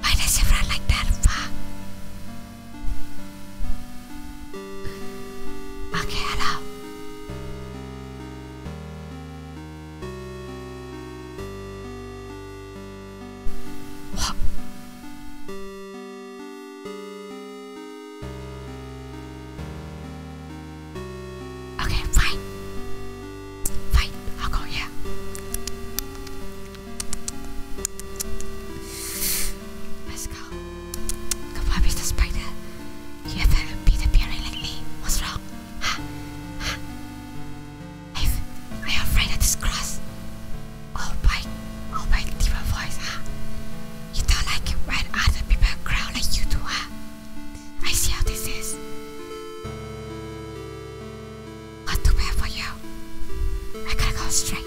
Why does it run like that? Fuck. Okay, hello. Okay, fine. Fine, I'll go, yeah. Let's go. Come on, Mr. Spider. You ever been appearing like me? What's wrong? i I'm afraid of this cross. Oh by, oh by different voice, huh? You don't like when other people growl like you do, I see how this is. Not too bad for you. I gotta go straight.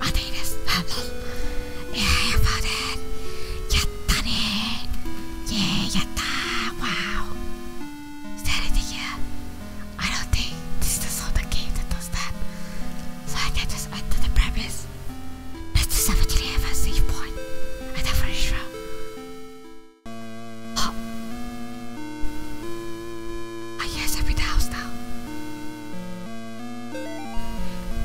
アテイです。あの、えー、やっぱね、やったねー。イェーやったー。Wow. Is that it here? I don't think this is the game that does that. So I can just enter the premise. Let's just have a safe point. I definitely sure. Look. *gasps* I guess every house now.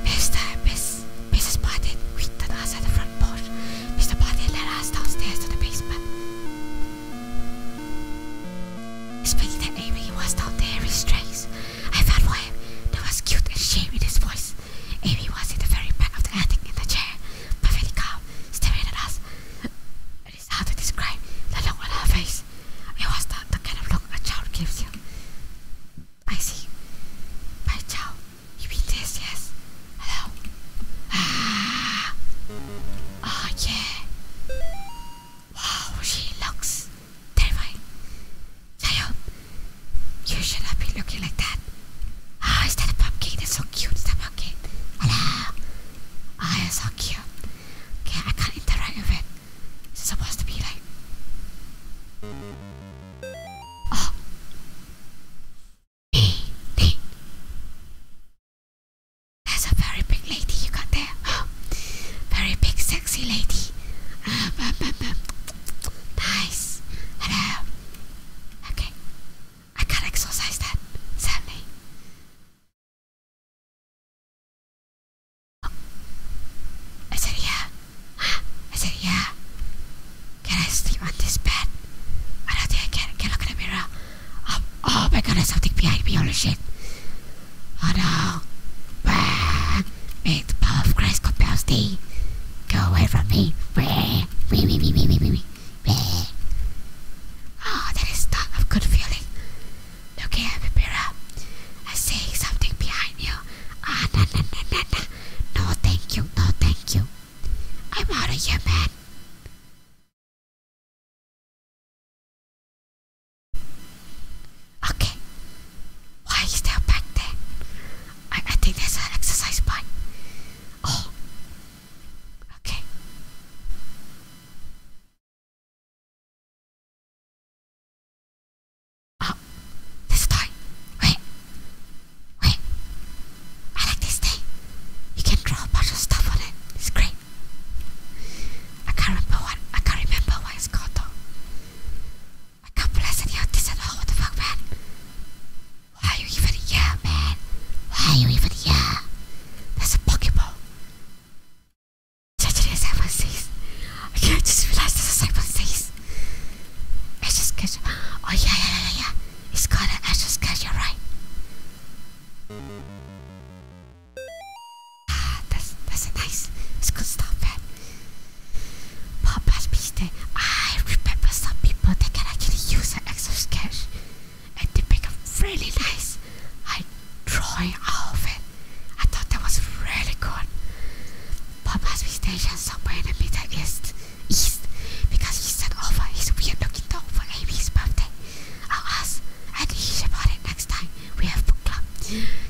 Mr. Miss, Mrs. Martin greeted us at the front porch. Mr. Martin led us downstairs to the basement. Speaking that Amy was down there in strings, I felt for him. There was guilt and shame in his voice. Amy was in the very back of the attic in the chair, perfectly calm staring at us. It is hard to describe the look on her face. It was the, the kind of look a child gives you. I see. By child, you mean this, yes? Hello? Ah! Oh, yeah. Wow, she looks terrifying. Sayo, you should not be looking like that. Ah, is that a pumpkin? That's so cute. Okay. Hello. Oh, you're so cute. Okay, I can't interact with it. It's supposed to be like. Oh. That's a very big lady you got there. *gasps* Very big, sexy lady. Ah, nice. Hello. Okay. I can not exercise that, Sammy. Oh. Is it here? Huh? Is Can I sleep on this bed? I don't think I can. Can I look in the mirror? Oh, oh my god, there's something behind me, holy shit. Oh no. Bah. May the power of Christ compels thee. Go away from me. Bah. Wee, wee, wee, wee, wee, Oh, that is not a good feeling. Look here, Pipira. I'm something behind you. Ah, no, no, no, no, no. No, thank you. No, thank you. I'm out of here, man. Okay. Why is there back there? I, I think there's an exercise bike. Oh, Okay. Oh, this toy. Wait. Wait. I like this thing. You can draw a bunch of stuff on it. It's great. I can't remember what. I can't remember what it's called though. I can't bless this at all. What the fuck, man? Why are you even here, man? Why are you even here? There's a Pokeball. Judging as I was sees. Okay, I just realized there's a cyber sees. I just catch. Oh, yeah, yeah, yeah, yeah. It's called an Ashes Catch, you're right. Ah, that's, that's a nice. It's good stuff, man. But, but, eh? I remember some people that can actually use an extra sketch and they become really nice. I drawing out of it. I thought that was really good. Bob must be stationed somewhere in the Middle East, east because he sent over his weird looking dog for Amy's birthday. I'll and he about it next time we have book club.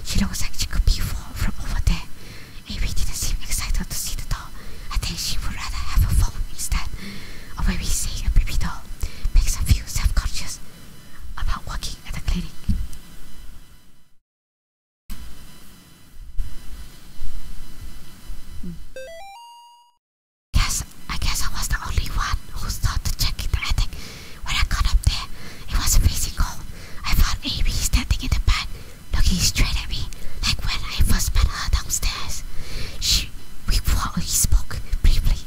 She looks like she could be from over there. Amy didn't seem excited to see the dog. I think she would rather have a phone instead or maybe seeing a baby doll makes them feel self-conscious about working at a clinic. Guess I guess I was the only one who thought to in the attic. When I got up there, it was freezing cold. I found Amy standing in the back, looking straight at me, like when I first met her downstairs. She we, we spoke briefly,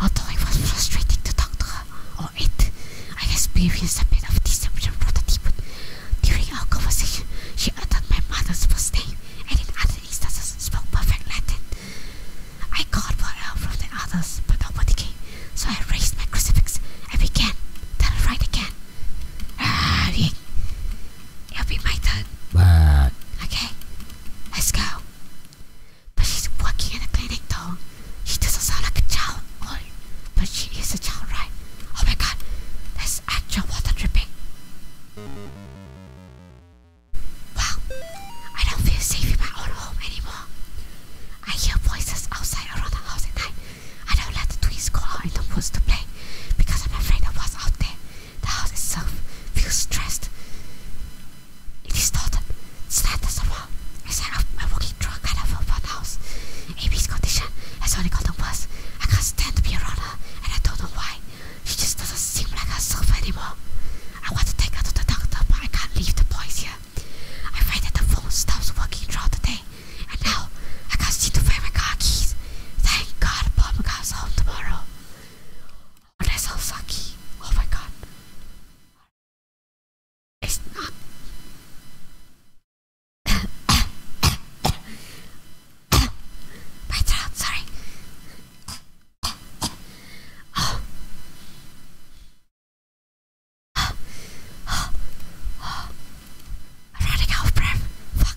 although it was frustrating to talk to her or it. I experienced a bit of deception from the During our conversation, she uttered my mother's first name and in other instances spoke perfect Latin. I called for help from the others, but nobody came, so I raised my crucifix and began to write again. Ah, It'll be my turn. But okay. Let's go. But she's working in a clinic though. She doesn't sound like a child, but she is a child, right? Oh my god, there's actual water dripping. Wow, I don't feel safe in my own home anymore. I hear voices outside around the house at night. I don't let the twins go out in the woods to play because I'm afraid of what's out there. The house itself feels stressed. It is not sad as well. As I am walking through a kind of a bad house. Amy's condition has only gotten worse. I can't stand to be around her, and I don't know why. She just doesn't seem like herself anymore. I want to take her to the doctor, but I can't leave the boys here. I find that the phone stops working throughout the day, and now I can't seem to find my car keys. Thank God, Bob comes home tomorrow. When I saw Saki, oh my god. It's not. *coughs* my throat, sorry. oh. Oh. Oh. Oh. I'm running out of breath. Fuck.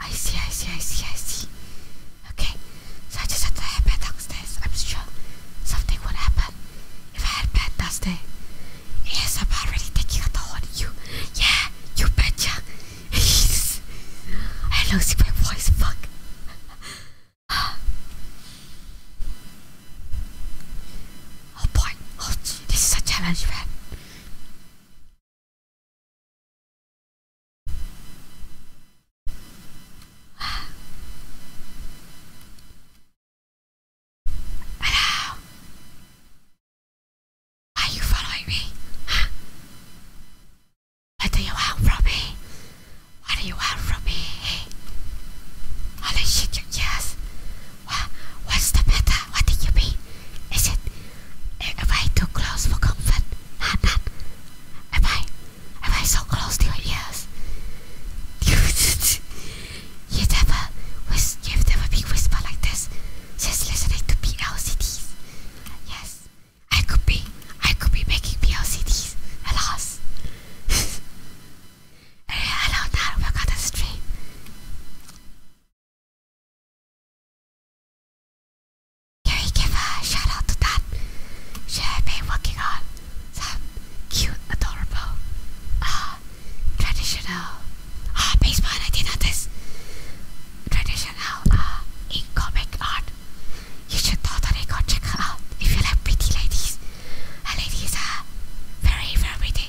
I see, I see, I see, I see. Okay, so I just had to have bad downstairs. I'm sure something would happen if I had bad downstairs. Yes, I'm already taking out the horn. You, yeah, you betcha. I lost my voice, fuck. *gasps* Oh boy, oh, this is a challenge, man. Hello. Are you following me? What do you want from me? What do you want from me? Holy shit, yes. What? What's the matter? What do you mean? Is it am I too close for comfort? Not, not. Am I am I so close to your ears? *laughs* you never whis you've never been whispered like this since listening to PLCDs. Yes. I could be I could be making PLCDs a loss. *laughs* Hello now, welcome to the stream. Can we give a shout out to that? She had been working on some cute, adorable, uh, traditional, uh, baseball, I did not this, traditional, uh, in comic art. You should totally go check her out if you like pretty ladies. Her uh, ladies are very, very pretty.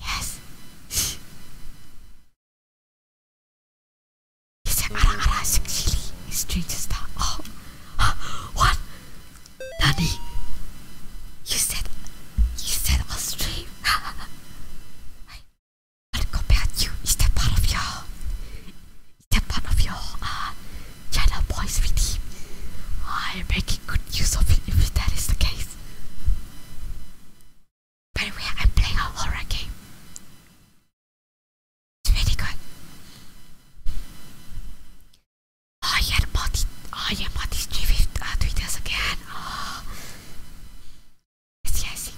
Yes. It's ara ara sexily. Strange star. Oh. What? Nani? You said. You said a stream. *laughs* I compared you. Is that part of your. Is that part of your. Uh, channel voice with I'm making oh, good good use of it if that is the case. By the way, I'm playing a horror game. It's really good. Oh yeah, Marty. Oh yeah, Marty's with uh, tweeters again. Oh. Yes, yes.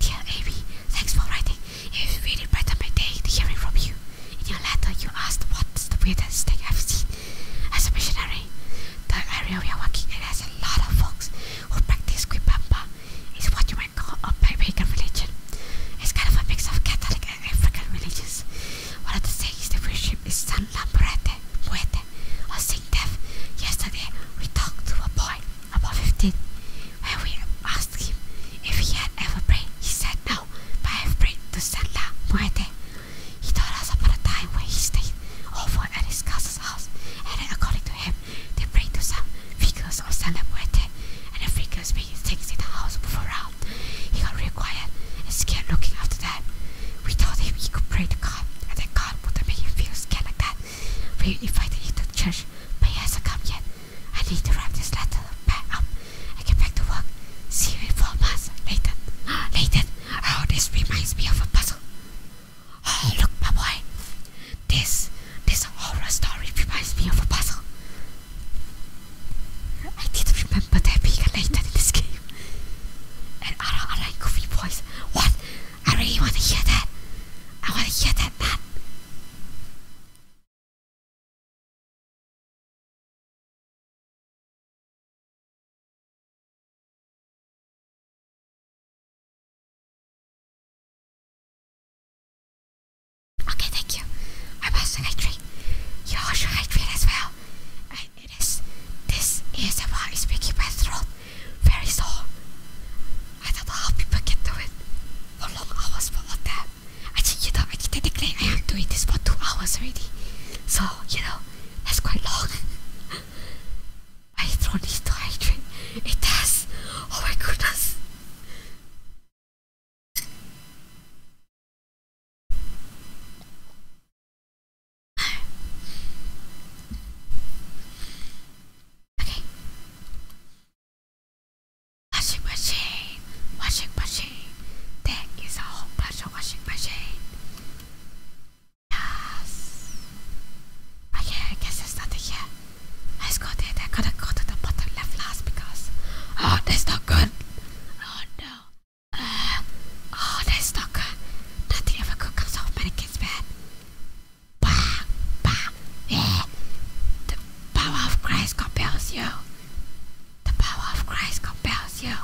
Dear Amy, thanks for writing. It really brightened my day hearing from you. In your letter, you asked what's the weirdest thing I've seen. As a missionary, the area we are working in has a lot of folks who practice Kwipamba. It's what you might call a pagan religion. It's kind of a mix of Catholic and African religions. One of the things they worship is San Lambrete, Muete, or Saint Death. Yesterday, we talked to a boy, about 15, when we asked him if he had ever prayed. He said no, but I prayed to San La he told us about a time where he stayed over at his cousin's house, and according to him, they prayed to some figures or San Muerte, and the figures made things in the house move around. He got real quiet and scared looking after that. We told him he could pray to God, and that God wouldn't make him feel scared like that. We invited him to church, but he hasn't come yet. I need to wrap this letter back up and get back to work. See you in four months. Later. *gasps* Later. Oh, this reminds me of a puzzle. Oh, look, my boy. This, this horror story reminds me of a puzzle. I didn't remember there being a later in this game. And other, like goofy boys. What? I really want to hear that. I want to hear that, Okay, thank you. I was the You also hydrate as well. it is this ASMR is making my throat very sore. I don't know how people can do it for long hours for all that. I think you know I think technically I am doing this for two hours already. So, you know, that's quite long. My throat needs to It does. Oh my goodness. Okay. Washing machine. Washing machine. There is a whole bunch of washing machine. Yes. Okay, I guess there's nothing here. Let's go I gotta go to the bottom left last because oh, that's not good. Oh no. Uh, oh, that's not good. Nothing ever good comes off mannequin's bed. Bah, bah, yeah. The power of Christ compels you. The power of Christ compels you.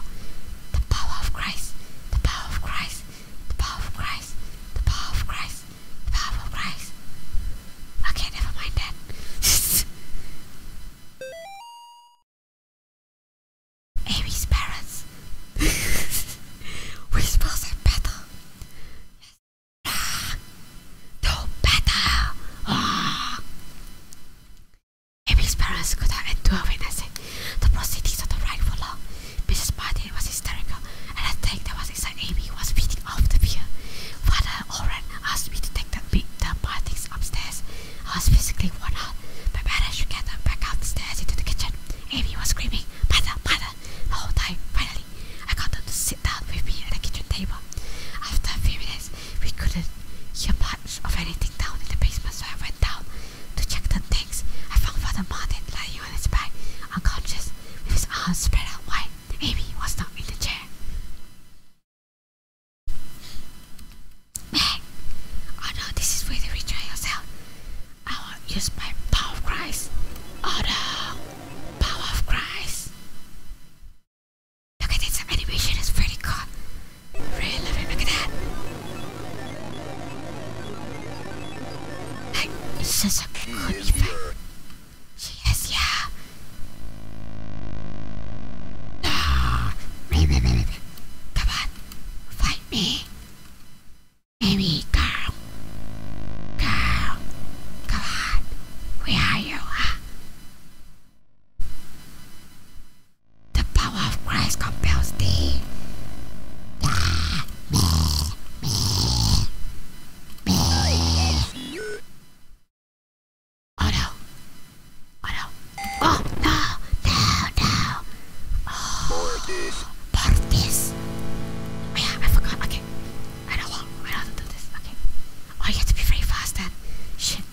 The power of Christ. The power of Christ. The power of Christ. The power of Christ. Okay, never mind that. *laughs* Amy's parents. *laughs* we supposed to battle. Yes. Ah, no battle. Oh. Amy's parents could have not endure witnessing the proceedings of the right for law. Mrs. Martin was hysterical, and I think that was inside Amy was beating off the fear. Father Oren asked me to take the, the parties upstairs. I was physically worn out, but managed to get them back up the stairs into the kitchen. Amy was screaming, Mother, Mother, the whole time. Finally, I got them to sit down with me at the kitchen table. After a few minutes, we couldn't hear much of anything down in the basement, so I went down to check the things. I found Father Martin lying on his back, unconscious, with his arms spread out wide. Amy was not in the chair. Meg! Oh no, this is where you try yourself. I will use my power of Christ. Oh no! Power of Christ! Look at this animation, it's very cool. Really look at that. Hey, this is a good thing. She is, yeah. No. Come on, fight me. Amy, girl. Girl. Come on. Where are you, the power of Christ compels thee. Oh no. Oh no. Oh no. No, no. Oh. Portis. Oh yeah, I forgot. Okay. I don't want. I don't want to do this. Okay. Oh, have to be very fast then. Shit.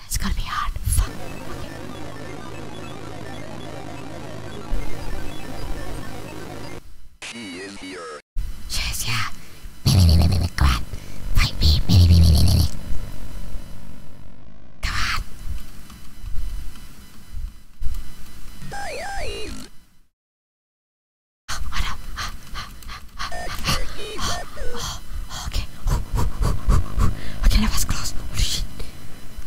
That's gonna be hard. is here. She is come on. Fight me. Come on. Oh, oh no. okay. Okay, that was close. Holy shit.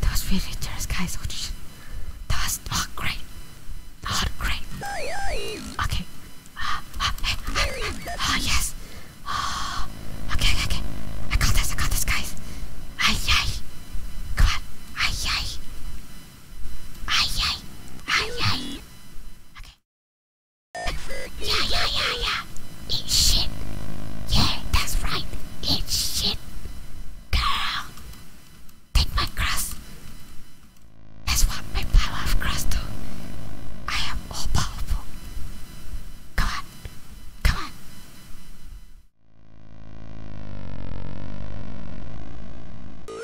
That was really dangerous, guys. That was not great. Not great. Okay. Ah, ah, hey, ah, yes. Ah, okay, okay. I got this, I got this, guys. Ay, ay. Come on. Ay, ay. Ay, ay. Ay, ay. Okay. Yeah, yeah, yeah, yeah. Yeah, it's shit. Yeah, that's right. It's shit. Girl, take my cross. That's what my power of cross do. I am all powerful. Come on, come on.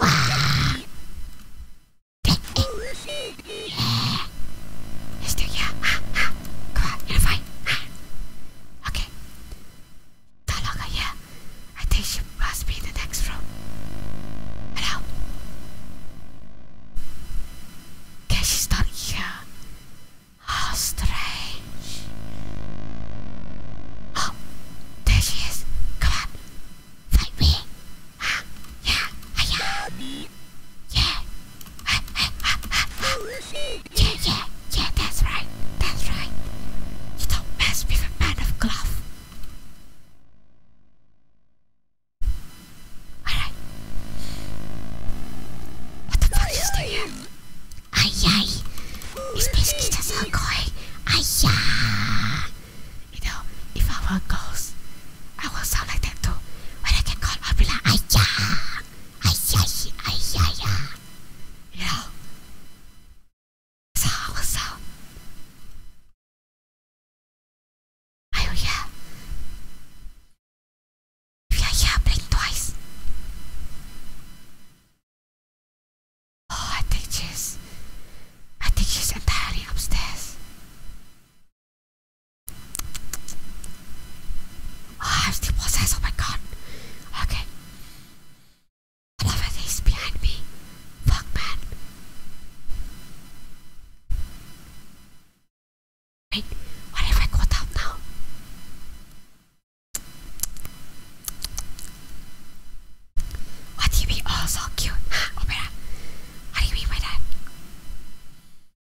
Wow. Take it. Yeah. Let's do yeah. Ah, ah. Come on, you Okay. Talaga, yeah. I think she must be the next room. Hello? Okay, she's not here. How strange. Oh, there she is. Come on. Fight me. Ah, yeah, yeah. Yeah, yeah, yeah, yeah, that's right, that's right. You don't mess with a man of cloth. Alright. What the fuck is there? Ay, ay. It's basically just a koi. Ay, yeah. You know, if I were a ghost, I would sound like that too. When I get caught, I'll be like, ay, yeah. 呀，操！我操！哎呦呀！呀呀，blink twice. Oh, I think she's, I think she's entirely upstairs. Oh, I Ah, the process. Oh my god. Okay. I love behind me. Fuck, man. Wait, what if I go down now? What do you mean? Oh, so cute. Huh, *gasps* oh Opera. What do you mean by that?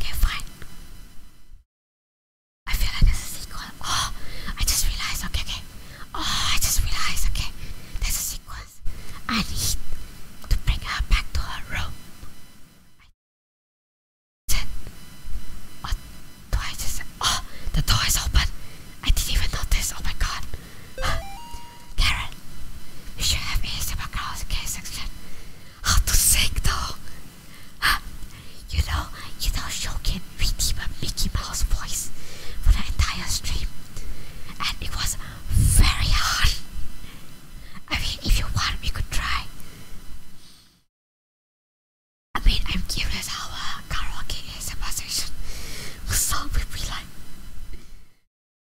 Okay, fine. I feel like there's a sequel. Oh, I just realized. Okay, okay. Oh, I just realized. Okay, there's a sequence. I need to bring her back to her room. what oh, the door is open. I didn't even notice. Oh my god. *sighs* Karen, you should have ASMR karaoke section. How to sing though? You know, you know, Shokin redeemed a Mickey Mouse voice for the entire stream, and it was very hard. I mean, if you want, we could try. I mean, I'm curious how. Uh, karaoke ASMR session with song would be like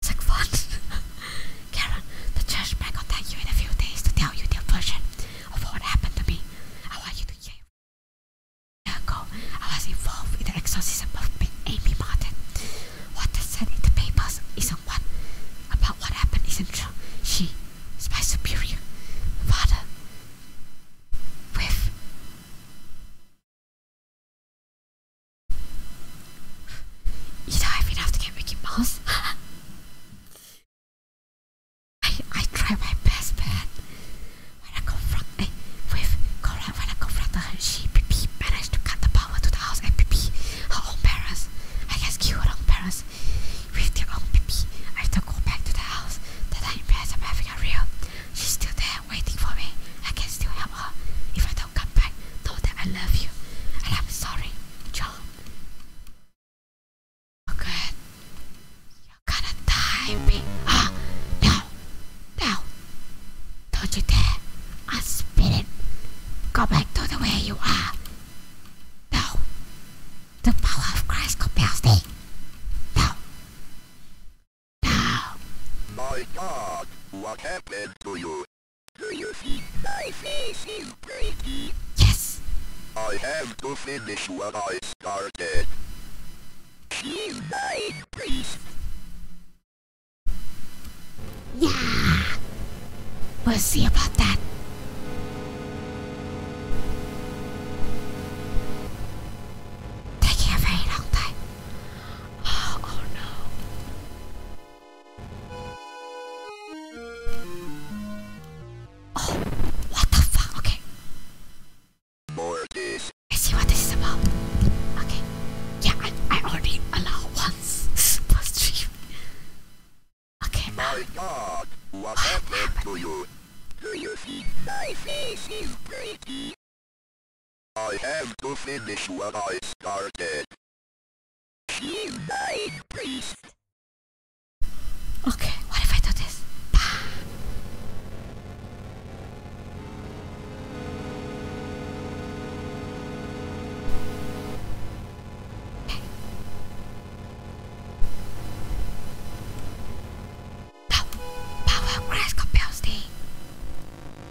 it's like fun *laughs* Karen, the church may contact you in a few days to tell you their version of what happened to me I want you to hear ago, I was involved in the exorcism of Amy Martin. What they said in the papers isn't what about what happened isn't true. She is my superior, father, with you don't mean, have to get Mickey Mouse. *laughs* I I try my best, man. When I confront eh, with Cora, when I confront her, she PP managed to cut the power to the house and PP her own parents. I guess kill her own parents with their own PP. I have to go back to the house. That I imagine I'm having a real She's still there waiting for me. I can still help her. If I don't come back, know that I love you. And I'm sorry, John. Oh, You're gonna die, me. Ah, oh, no. Don't you dare. i spit it. Go back to the way you are. No. The power of Christ compels thee. No. My god, what happened to you? Do you think my face Yes! I have to finish what I started. She's my priest. Yeah! We'll see about that. Taking a very long time. Oh, oh, no. Oh, what the fuck? Okay. I see what this is about. Okay. Yeah, I, I already allow once *laughs* Okay. My God, what oh, happened to you? Do you think my face I have to finish what I started. You died, priest. Okay, what if I do this? Okay. No. Power grass compounding. Eh?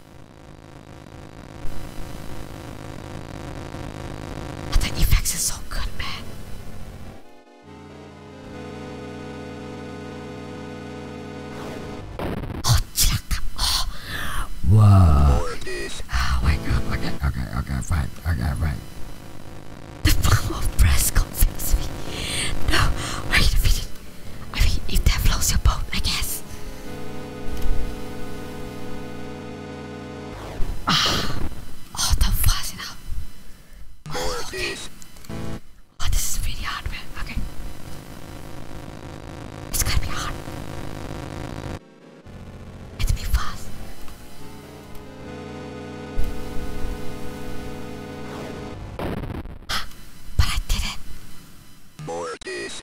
But the effects is so good, man. Oh, check. Oh. Whoa. Oh my god, okay, okay, okay, fine, okay, fine. The bomb of press confused me. No, wait a I mean, if that blows your boat, I guess oh, the fuzzing up. okay. Oh, this is really hard, man. Okay. It's gonna be hard. It's be fast. Ah, but I did it. More days.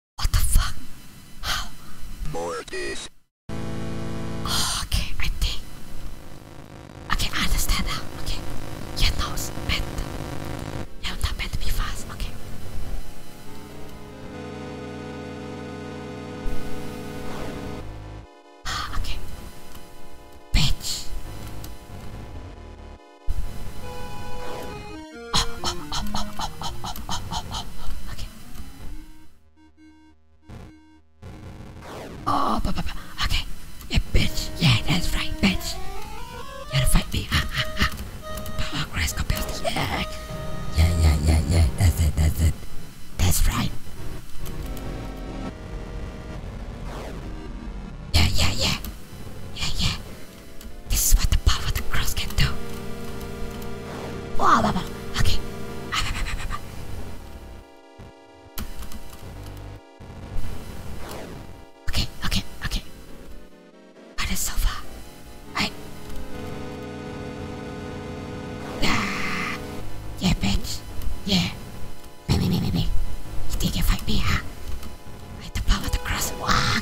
What the fuck? How? Mortis. Oh, okay, I think. Okay, I understand now. Okay. Your nose bent. You're not meant to be fast. Okay. okay. Bitch. Okay. Oh, bu- bu- bu- okay. Yeah, bitch. Yeah, that's right, bitch. You gotta fight me. Ha ha ha. Power Grass Compost. Yeah. Yeah, yeah, yeah, yeah. That's it, that's it. That's right. Yeah, yeah, yeah. Yeah, yeah. This is what the power of the cross can do. Oh, okay. Okay, okay, okay. What is so far? I. Ah, yeah, bitch. Yeah. Maybe, maybe, maybe. You think you fight me, huh? I the power to cross. Wow.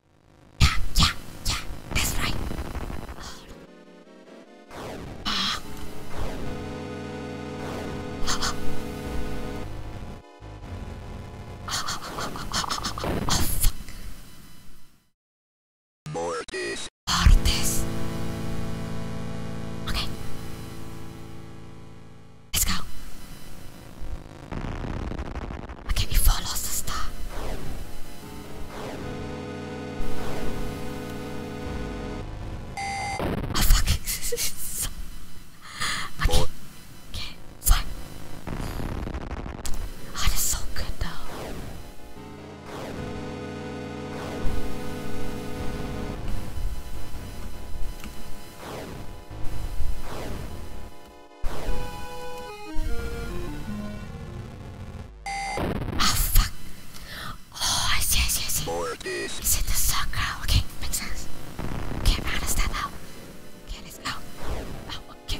Yeah, yeah, yeah, that's right. Ah. Ah. Oh, fuck. Mortis. Mortis. Okay. Let's go. Can you follow, sister? I fucking can't, okay, fine. Oh, that's so good though. Oh, fuck. Oh, I see, I see, I see. Is it the sucker? Okay, makes sense. Okay, how does that out? Okay, it's out. Out, oh, okay.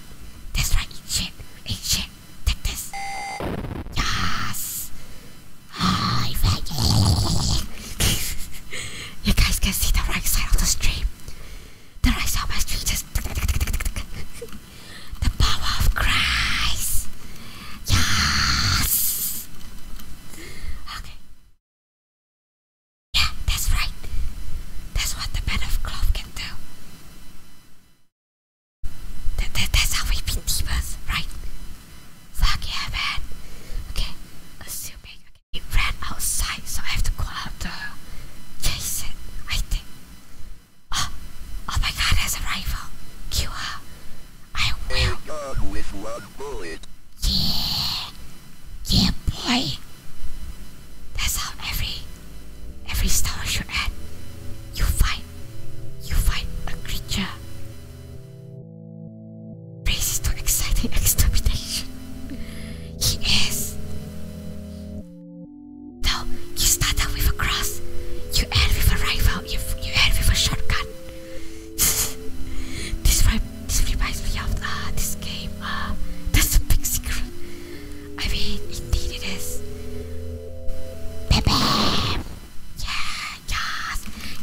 right. That's right. Eat shit. Eat shit. Take this. Yes. Oh, *laughs* you guys can see the right side of the stream. The right side of my stream just. *laughs* the power of Christ. Yes. Okay. Yeah, that's right. That's what the bed of cloth can do. that's how we beat demons, right? Fuck yeah, man. Okay, assuming okay, ran outside, so I have to go out to Jason, I think. Oh, oh my god, there's a rifle. Kill her. I yeah, boy. That's how every every story should end. You fight, you fight a creature. Race to exciting *laughs* extermination. He is. Though you started with a cross, you end with a rifle. You you end with a shotgun. *laughs* this reminds me of uh, this game. Uh, that's a big secret. I mean, indeed it is. Bam, Yeah, yes,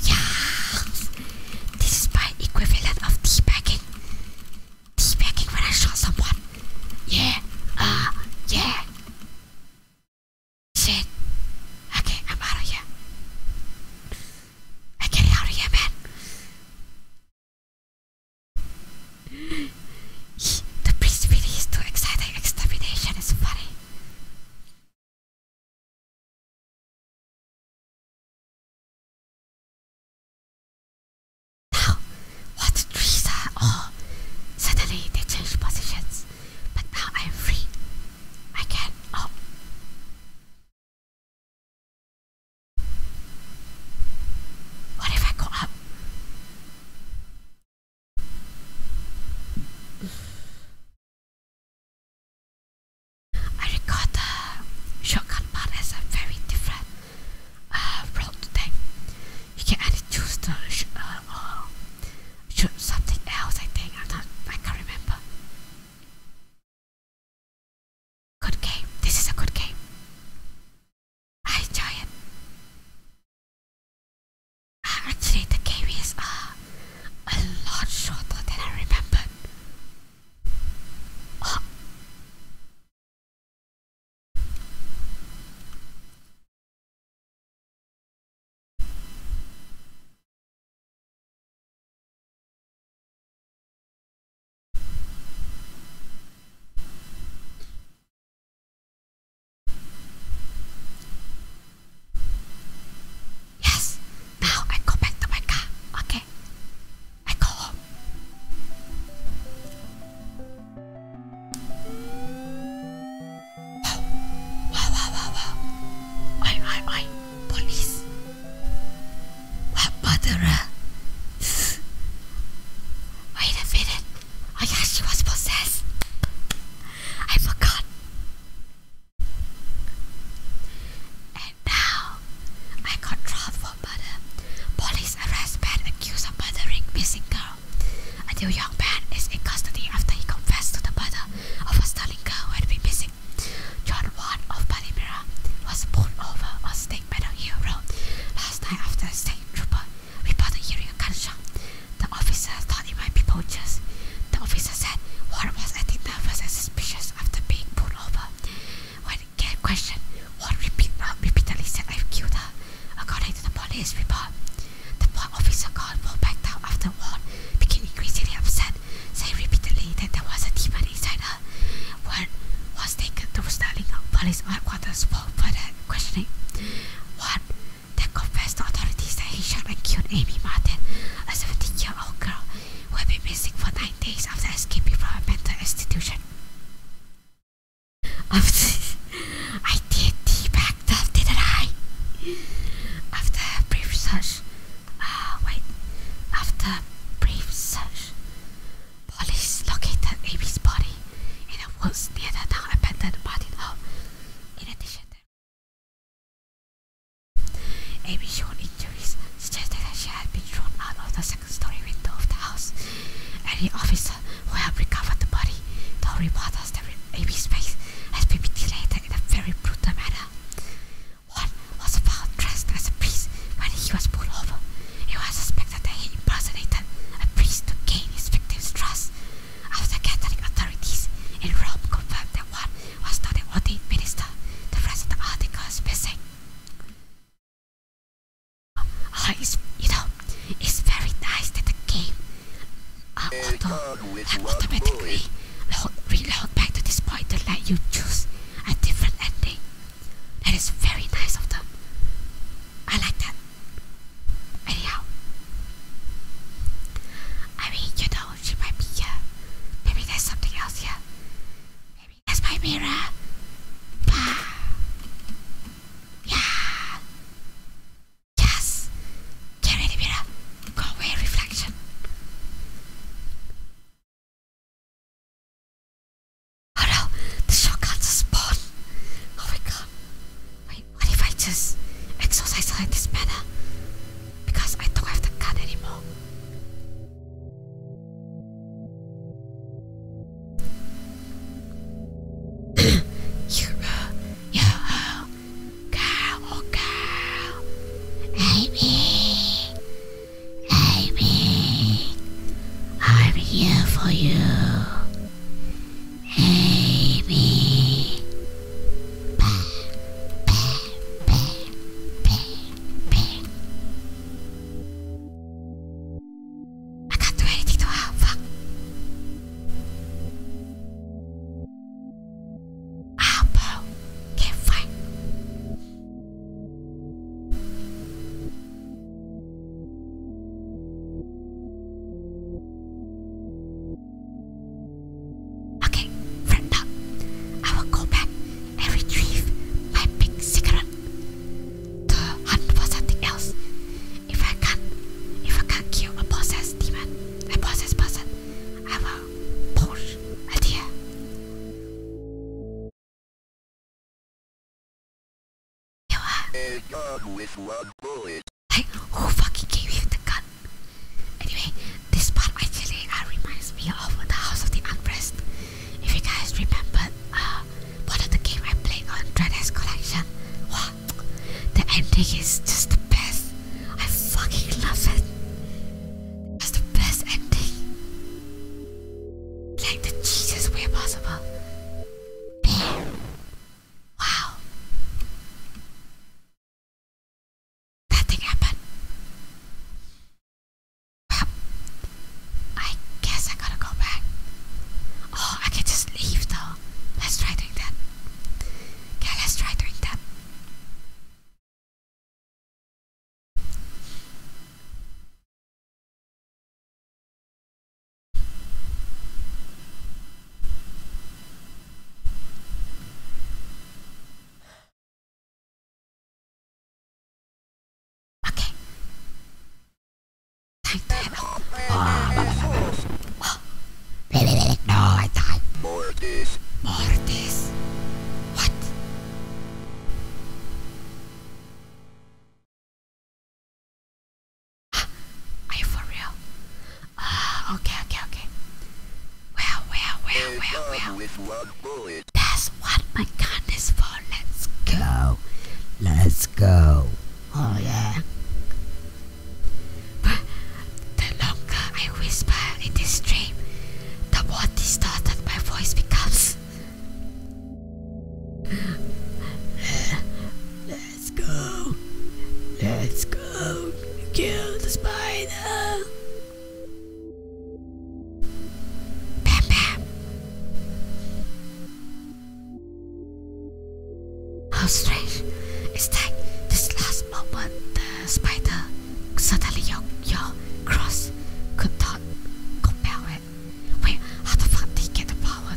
yes. This is my equivalent of teabagging. Teabagging when I shot someone. Yeah, uh, yeah. Shit. Okay, I'm out of here. I get out of here, man. *gasps* the priest really is too exciting. Extermination is funny. Now, what trees are all. Suddenly they changed positions. But now I am free. I can. Oh. What if I go up? I record the shotgun part as a very different uh, road You can either choose the sh uh, shoot something else. I think I'm not. I can't remember. Good game. This is a good game. I enjoy it. actually, the game is uh, a lot shorter than I remembered. Yes, now I go back to my car. Okay, I go home. wow, wow, wow, wow. I, I, I, police. What murderer? Wait a minute. Oh yeah, she was possessed. I forgot. And now, I got dropped for murder. Police arrest man accused of murdering missing girl. A new young man is in custody after he confessed to the murder of a stunning girl who had been missing. John Wan of Palmyra was pulled over on State Meadow Hill Road last night after a saying, we bothered hearing a gunshot. The officer thought it might be poachers. The officer said Warren was acting nervous and suspicious after being pulled over. When again questioned, Warren repeat, uh, repeatedly said I've killed her. According to the police report, the officer called Paul back down after Warren became increasingly upset, saying repeatedly that there was a demon inside her. Warren was taken to Sterling Police Headquarters responsible questioning. what the confessed authorities say, he shot and killed Amy Martin, a 17-year-old girl who had been missing for nine days after escaping from a mental institution. I did back stuff, didn't I? After brief search, uh, wait, after brief search, Police located Amy's body in a woods near the now abandoned body Hall. In addition, Amy's shown injuries suggested that she had been thrown out of the second story window of the house. Any officer who helped recover the body told reporters that Amy's face has been mutilated in a very brutal manner. One was found dressed as a priest when he was pulled over. It was suspected that he impersonated a priest to gain his victim's trust. After Catholic authorities in Rome confirmed that one was not an ordained minister, the rest of the article missing. Oh, oh, it's, you know, it's very nice that the game uh, auto and automatically load, reload back to this point to let you choose a different ending. That is very nice of them. I like that. Anyhow, I mean, you know, she might be here. Uh, maybe there's something else here. Maybe there's my mirror. Yeah. Yes. Get ready, mirror. Go away, reflection. Oh no, the shotgun's a spawn. Oh my god. Wait, what if I just exercise like this manner? Because I don't have the gun anymore. *coughs* you, uh, you, uh, girl, oh girl, Amy, Amy, I'm here for you. Baby. Bah, bah, bah, I can't do to her. Fuck. Can't fight. Okay, friend I will go back and retrieve my big cigarette. To hunt for something else. If I can if I can kill a possessed demon, a possessed person, I will push a a Hey, who fucking gave you the gun? Anyway, this part actually reminds me of the House of the Unrest. If you guys remember, uh, one of the game I played on Dreadnought Collection. Wow, the ending is just the best. I fucking love it. It's the best ending, like the cheesiest way possible. Wow. That thing happened. Well, I guess I gotta go back. Oh, I can just leave though. Let's try doing that. Okay, let's try doing that. Okej. Okay. Tänkte No, I died. Mortis. Mortis. What? Are you for real? Ah, okay, okay, okay. Well, well, well, well, well. That's what my gun is for. Let's go. Let's go. Oh, yeah. But the longer I whisper in this dream, the more distorted my voice becomes. Let's go. Let's go. Kill the spider. Bam, bam. How strange It's like this last moment the spider suddenly your, your cross could talk, could it. Wait, how the fuck did he get the power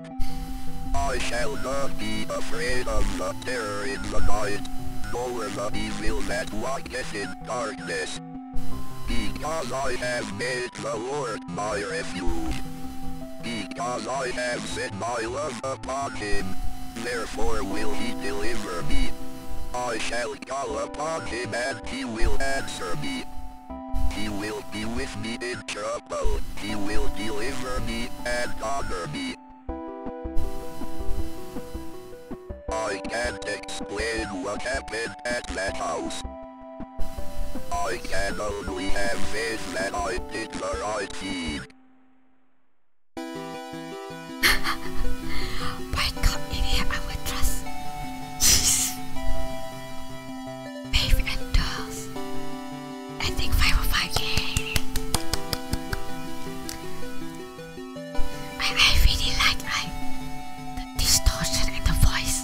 I shall not be afraid of the terror in the night, for the evil that walketh in darkness. Because I have made the Lord my refuge. Because I have set my love upon him, therefore will he deliver me. I shall call upon him and he will answer me. He will be with me in trouble, he will deliver me and honor me. I can't explain what happened at that house. I can only have that I did the right thing. *laughs* Dave and dolls. I think 505 yay. I, I really like like the distortion and the voice.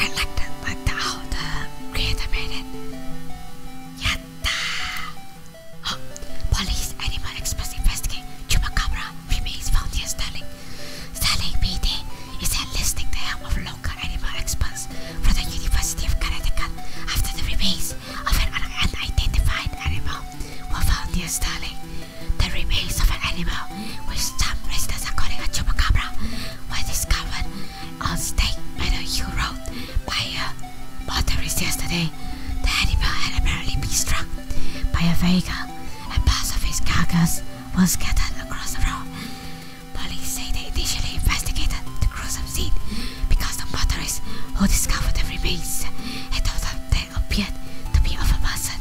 I like the like the how the creator made Yatta! Oh, police animal express investigate. Chupacabra remains found here. Sterling, Sterling PD is enlisting the help of law local animal experts for the University of Connecticut after the remains of an unidentified animal were found near Sterling. The remains of an animal, which some residents are calling a chupacabra, were discovered on State Meadow Hill Road by a motorist yesterday. The animal had apparently been struck by a vehicle, and parts of its carcass were scattered across the road. Police say they initially investigated the gruesome scene because the motorists who discovered the remains had told they appeared to be of a person.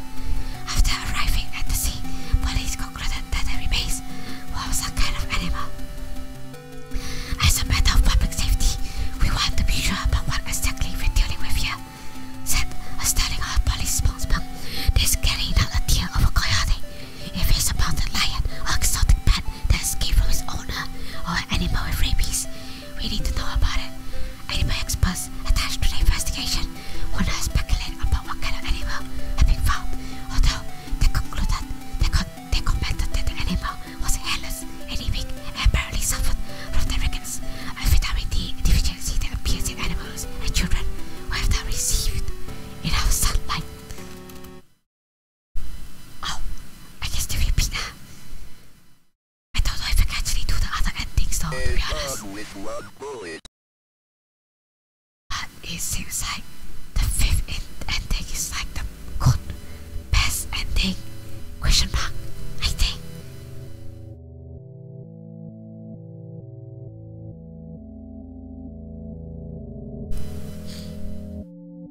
After arriving at the scene, police concluded that the remains was some kind of animal. As a matter of public safety, we want to be sure about what exactly we're dealing with here, said a standing out police spokesman. This carrying out a tear of a coyote. If it's about a lion or exotic pet, that escaped from its owner or animal with rabies. We need to know about it. Animal experts attached to the investigation will not speculate about what kind of animal had been found, although they concluded they, con they commented that the animal was hairless, anemic, and apparently suffered from the rickets, a vitamin D deficiency that appears in animals and children who have not received enough sunlight. Oh, I guess they repeat now. I don't know if I can actually do the other endings though, be honest. But it seems like the fifth ending is like the good, best ending. Question mark, I think.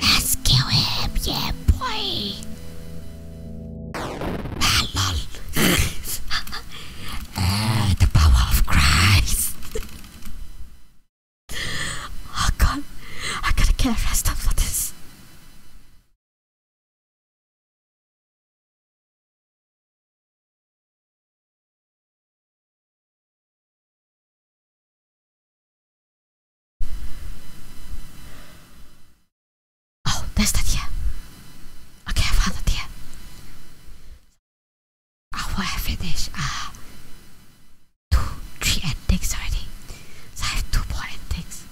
let him, yeah, boy. uh, the power of Christ. oh God, I gotta get arrested for this. Oh, there's that here. Okay, I found it here. Oh, well, I finished uh, two, three endings already. So I have two more endings.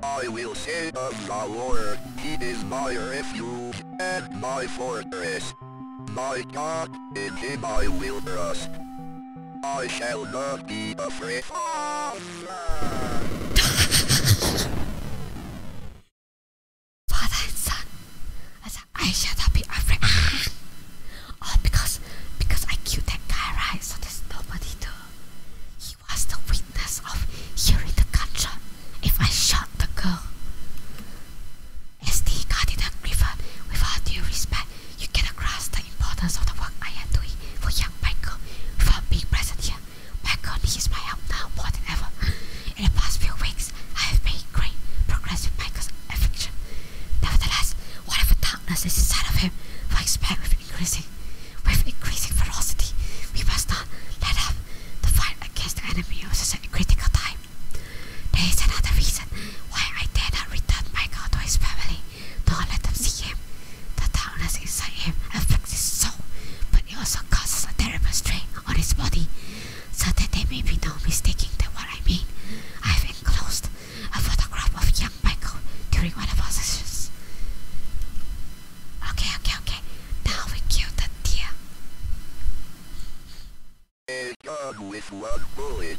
I will say of the Lord, He is my refuge, and my fortress. By God, in Him I will trust. I shall not be afraid. *laughs* Father and son, as I should not be afraid. Ah. Oh, because because I killed that guy, right? So there's nobody to. He was the witness of hearing the gunshot. If I shot the girl, SD Cardinal Griffin, with all due respect, you get across the importance of the work I am doing for young Michael without being present here. Michael needs my help now more than ever. In the past few weeks, I have made great progress with Michael's affliction. Nevertheless, whatever darkness is inside of him, I expect with increasing, with increasing ferocity. We must not let up the fight against the enemy at such a critical time. There is another reason why I dare not return my god to his family, nor let them see him. The darkness inside him affects his soul, but it also causes a terrible strain on his body, so that there may be no mistaking that what I mean. I've enclosed a photograph of young Michael during one of our sessions. Okay, okay, okay. Now we kill the deer. A with one bullet.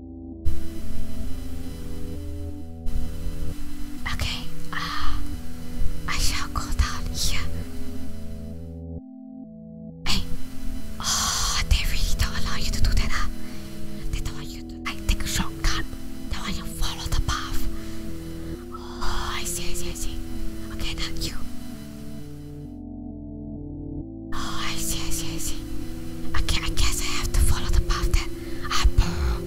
Okay, uh, I shall go down here. Hey, oh, they really don't allow you to do that. Huh? They don't want you to like, take a shortcut. They want you to the path. Oh, I see, I see, I see. Okay, not you. Oh, I see, I see, I see. Okay, I guess I have to follow the path that ah, I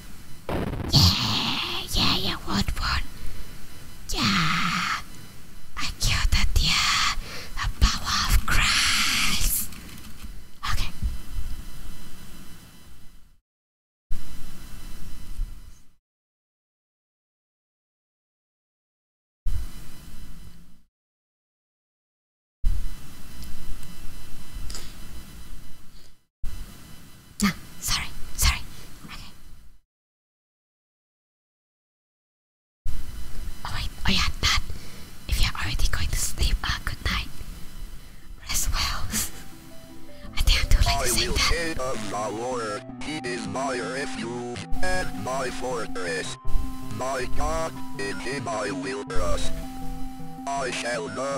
Yeah, yeah, yeah, what one? Yeah, I killed that, yeah, the power of Christ. Okay. No, sorry, sorry. Okay. Oh wait, oh yeah, Dad. If you're already going to sleep, ah, good night. Rest well. *laughs* I think i like too to sing that. of the water, he is my refuge and my fortress. My God, in him I will trust. I shall not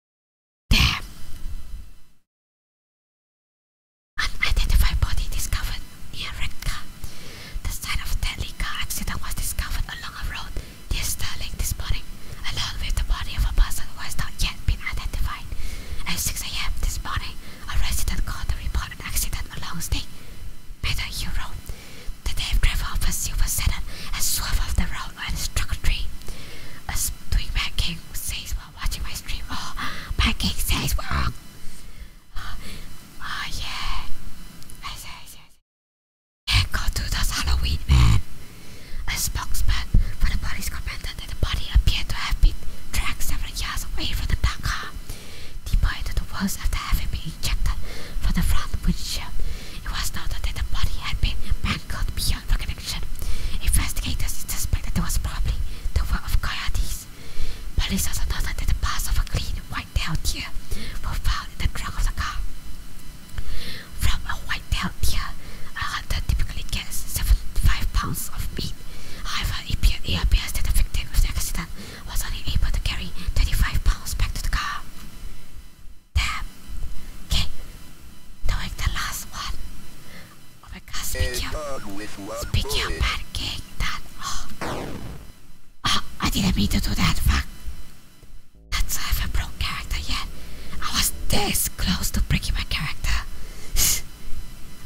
Damn! Unidentified body discovered near Rekka. The site of deadly car accident was discovered along a road near Sterling this morning, along with the body of a person who has not yet been identified. At 6 a.m. this morning, a resident called the report an accident along State Meadow Road. The dave driver of a silver sedan has swerved off the road and struck a tree. A swingback king says watching my stream. Oh, pancake says work. Oh, oh yeah. I say, I say, I go to this Halloween man. A spokesman for the police commented that the body appeared to have been dragged several yards away from the car. Deployed the walls after having been ejected from the front windshield. It was noted that the body had been mangled beyond beyond recognition. Investigators suspect that there was probably the work of coyotes. Police also noted that the parts of a clean white tail deer were found in the trunk of the car. From a white tail deer, a hunter typically gets seven five pounds of meat. However, it appears that the victim of the accident was only able to carry 35 pounds back to the car. Damn. Okay, doing the last one. Oh my god, speak up! speak up, bad king, that, oh. Ah, I didn't mean to do that, fuck. That's, I haven't broke character yet. I was this close to breaking my character. *sighs*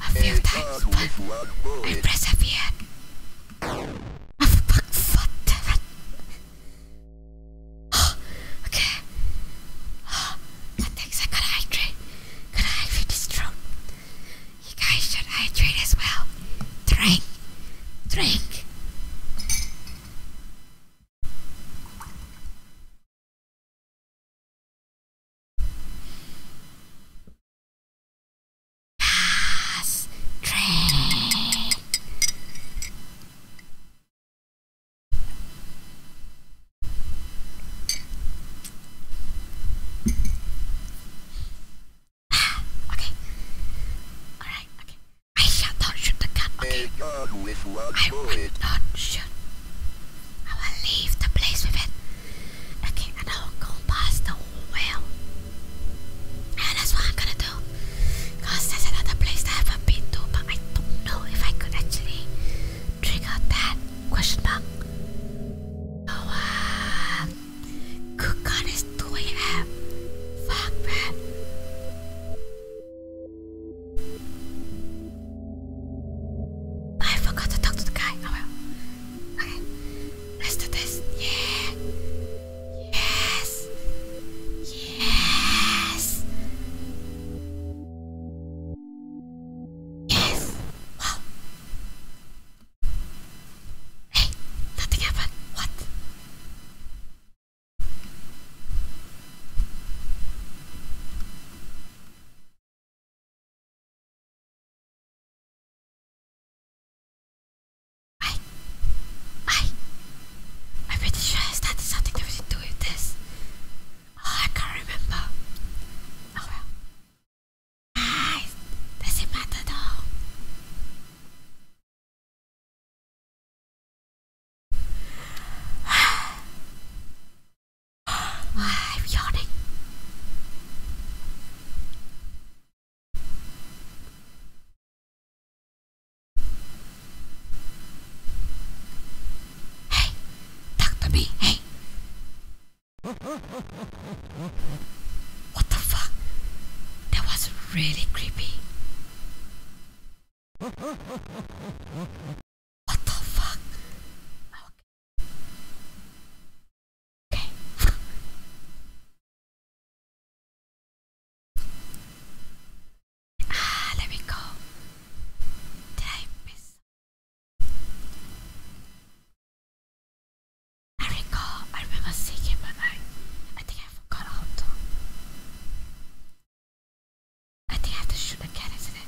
A few times, but I persevered. *gasps* Okay. Oh, I think I gotta hydrate. Good it is true. You guys should hydrate as well. Drink. Drink. Yes. Drink okay. Alright, okay. I shall not shoot the gun, okay? I will not shoot. I will leave the place with it. Okay, and I will go past the well. And that's what I'm gonna do. Because there's another place I have been to, but I don't know if I could actually trigger that. Question mark. Oh, good uh, God, it's 2 a.m. Fuck, man. I forgot to talk to the guy. Oh well. Okay. Let's do this. Yeah. Yes. Yes. Yes! Wow! Hey! Nothing happened! What? I... I... I'm pretty sure I started something that was doing this. Oh, I can't remember. Oh well. Guys, does it matter though? *sighs* I'm yawning. Hey, talk to Hey, what the fuck? That was really creepy. What the fuck? Okay. *laughs* ah, let me go. Did I I recall I remember seeing him but I I think I forgot how to I think I have to shoot again, is it?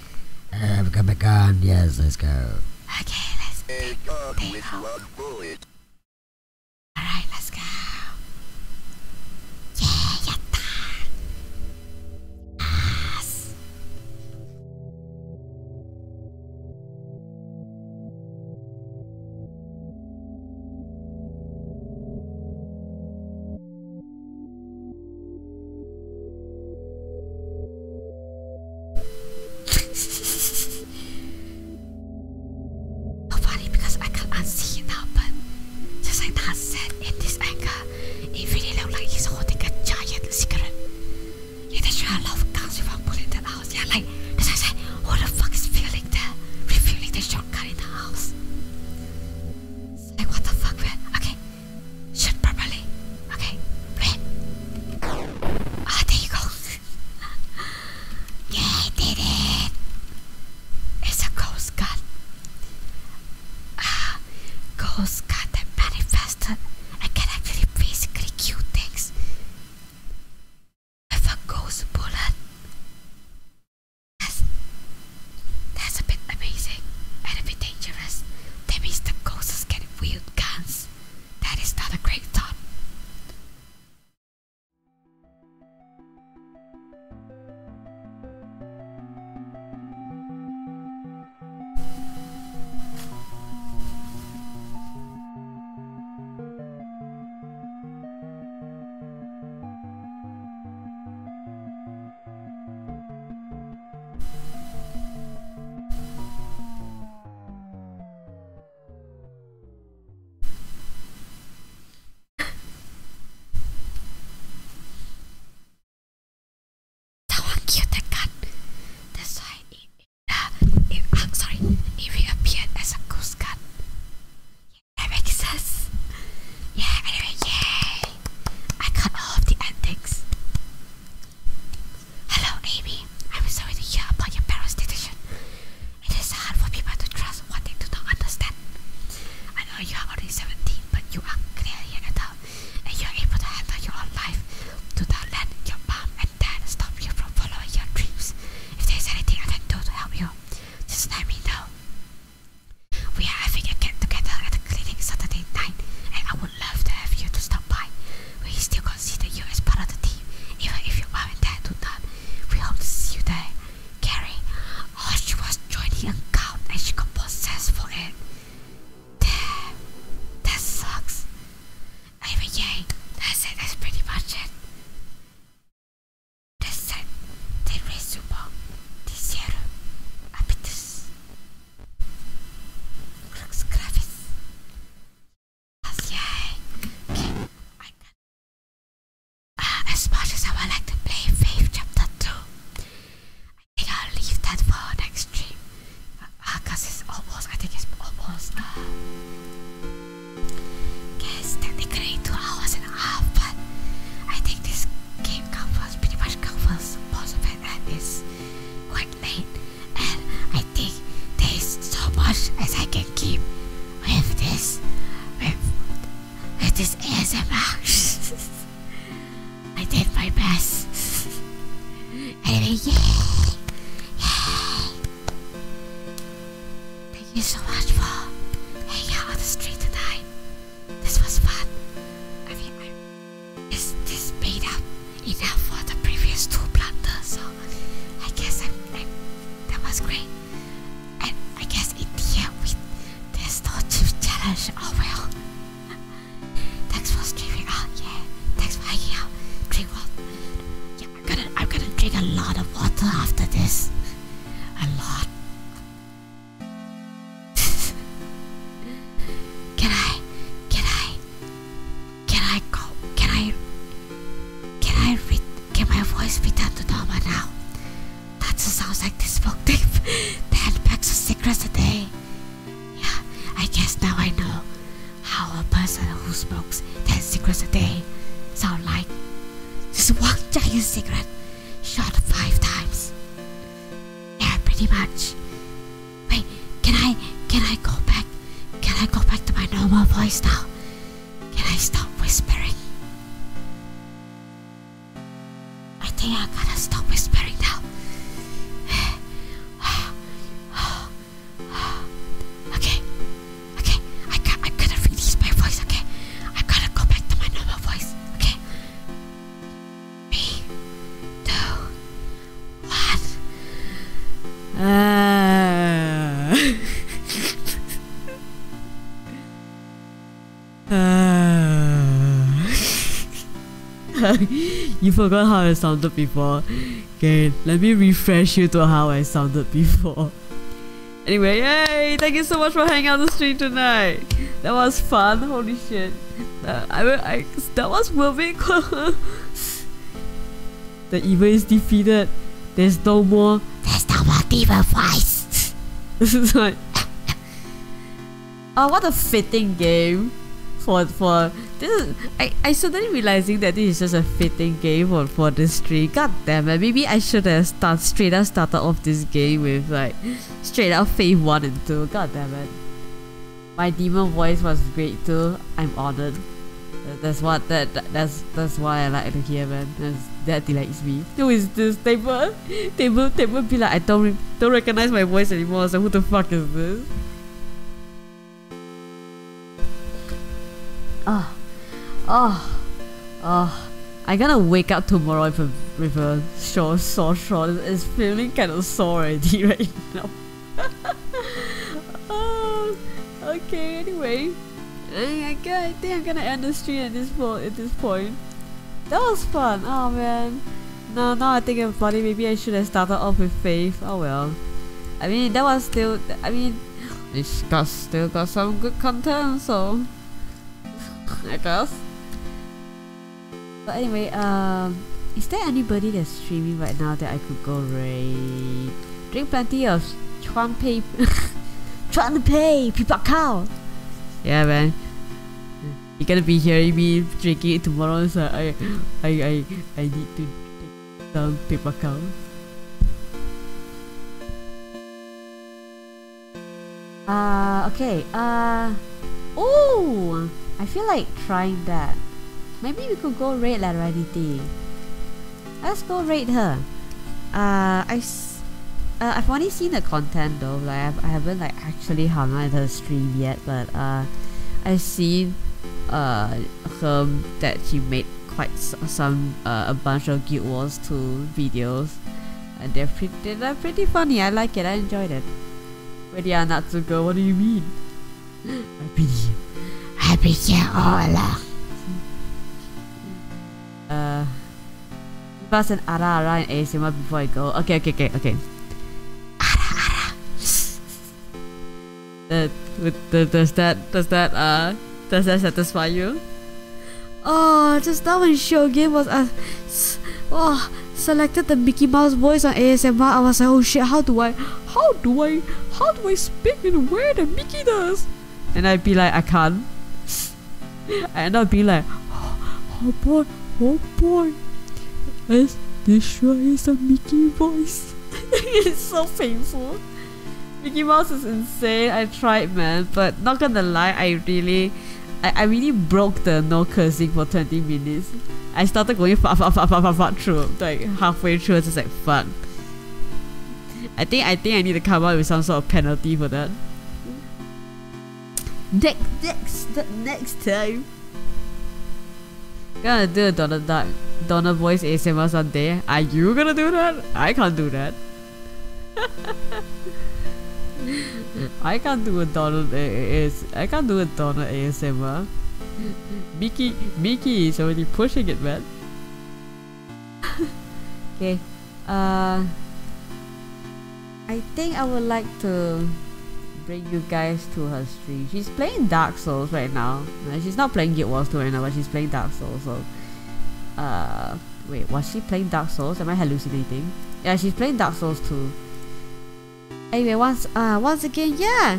I've got my gun. Yes, let's go. Okay, let's pick uh, Alright, let's go. Yeah, yatta. Yes. *laughs* oh, because I can't unsee it now, but just like that said, in this angle, it really looks like he's holding a giant cigarette. Yeah, that's sure I love guns without pulling that out. Yeah, like, that's what I said, who the fuck is feeling that? Refueling the shotgun in the house? Like, what the fuck, man? Okay, should probably Okay, Ah, there you go. *laughs* yeah, I did it. It's a ghost gun. Ah, ghost gun that manifested and can actually physically kill things. If a ghost bullet. That's, that's a bit amazing and a bit dangerous. That means the ghosts can wield guns. That is not a great thought. Someone killed the cat. That's why it, uh, it, uh, sorry, it reappeared as a ghost god. that makes sense. Yeah, anyway, yay! I got all of the antics. Hello, Amy. I'm sorry to hear about your parents' decision. It is hard for people to trust what they do not understand. I know you are only 17, but you are clearly an adult, and you are able to handle your own life. Do not let your mom and dad stop you from following your dreams. If there is anything I can do to help you, just let me know. We are having a get together at the clinic Saturday night, and I would love to have you to stop by we still consider you as part of the team, even if you aren't tattooed up. We hope to see you there. Carrie, oh, she was joining a count, and she got possessed for it. Damn, that sucks. I mean, yeah, that's it, that's pretty much it. That's it, the resumo, the serum, habitus, crux gravis. Okay. okay. Uh, as much as I would like to play Faith Chapter 2, I think I'll leave that for next stream. Because uh, it's almost, I think it's almost. Uh, guess technically 2 hours and a half, but I think this game covers pretty much covers most of it and it's quite late and I think there's so much as I can keep with this with, with this ASMR. *laughs* I did my best. Anyway, yay! Yay! Thank you so much for hanging out on the street tonight. This was fun. I mean, I, this this made up enough for the previous two planters, so uh, I guess I'm, i that was great. And I guess in here end, we, there's no chip challenge. Oh well. *laughs* Thanks for streaming out. Yeah. Thanks for hanging out. Drink water. Yeah, I'm gonna I'm gonna drink a lot of water after this. A lot. *laughs* can I? Can I? Can I go? Can I? Can I read? Can my voice be done to Norma now? That sounds like this book thief *laughs* that packs of secrets a day. Yeah, I guess now I know how a person who smokes ten secrets a day sound like. Just one giant cigarette shot five times. Yeah, pretty much. Wait, can I can I go back? Can I go back to my normal voice now? Can I stop whispering? I think I gotta stop whispering now. *sighs* okay. Okay. I got to release my voice, okay? I gotta go back to my normal voice, okay? Me what? Uh. *laughs* uh. you forgot how I sounded before. Okay, let me refresh you to how I sounded before. Anyway, yay! Thank you so much for hanging out the street tonight. That was fun. Holy shit. Uh, I, I that was moving. *laughs* The evil is defeated. There's no more. There's no more demon voice. this is like. oh, what a fitting game for for this is I, I suddenly realizing that this is just a fitting game for, for this tree. God damn it, maybe I should have start straight up started off this game with like straight up phase one and two. God damn it. My demon voice was great too. I'm honored. That's what that, that's that's what I like to hear, man. that delights me. Who is this table? Table table be like I don't don't recognize my voice anymore. So who the fuck is this? Ah, ah, ah! I gotta wake up tomorrow with a with a sore sore throat. It's feeling kind of sore already *laughs* right now. Oh, okay, anyway. I think I'm gonna end the stream at this, point. That was fun, oh man. No, now I think it's funny, maybe I should have started off with Faith. Oh well. I mean, that was still, I mean, *sighs* it's got, still got some good content, so... *sighs* I guess. But anyway, um, is there anybody that's streaming right now that I could go raid? Drink plenty of to pay, chuan to pay pei *laughs* pipakao. Yeah, man. You're gonna be hearing me drinking tomorrow, so I, I, I, I need to take some pipakao. Uh, okay, uh... Oh, I feel like trying that. Maybe we could go red like anything. Let's go raid her. Uh, I uh, I've only seen the content though. Like I've, not like actually hung out at her stream yet, but uh, I've seen uh her that she made quite some uh, a bunch of Guild Wars 2 videos, and they're pretty they're pretty funny. I like it. I enjoyed it. Where the Natsuko, what do you mean? Happy. Happy je oorlog. Uh, give us an ara ara and ASMR before I go. Okay, okay, okay, okay. Ara does that does that uh does that satisfy you? Oh, just that one show game was uh, oh selected the Mickey Mouse voice on ASMR, I was like, oh shit, how do I, how do I, how do I speak? And where the Mickey does. And I'd be like, I can't. I end up being like, oh, boy, oh boy. Yes, this sure is Mickey voice. *laughs* it's so painful. Mickey Mouse is insane. I tried, man, but not gonna lie, I really, I, I really broke the no cursing for 20 minutes. I started going fuck, fuck, fuck, fuck, fuck, fuck through, like halfway through, it's just like fuck. I think I think I need to come up with some sort of penalty for that. Next next next time. Gonna do a Donna Duck Donna voice ASMR someday. Are you gonna do that? I can't do that. *laughs* I can't do a Donald AS I can't do a Donald ASMR. Mickey Mickey is already pushing it man. *laughs* okay. Uh, I think I would like to bring you guys to her stream. She's playing Dark Souls right now. Uh, she's not playing Guild Wars 2 right now, but she's playing Dark Souls. So, uh, wait, was she playing Dark Souls? Am I hallucinating? Yeah, she's playing Dark Souls too. Anyway, once, uh, once again, yeah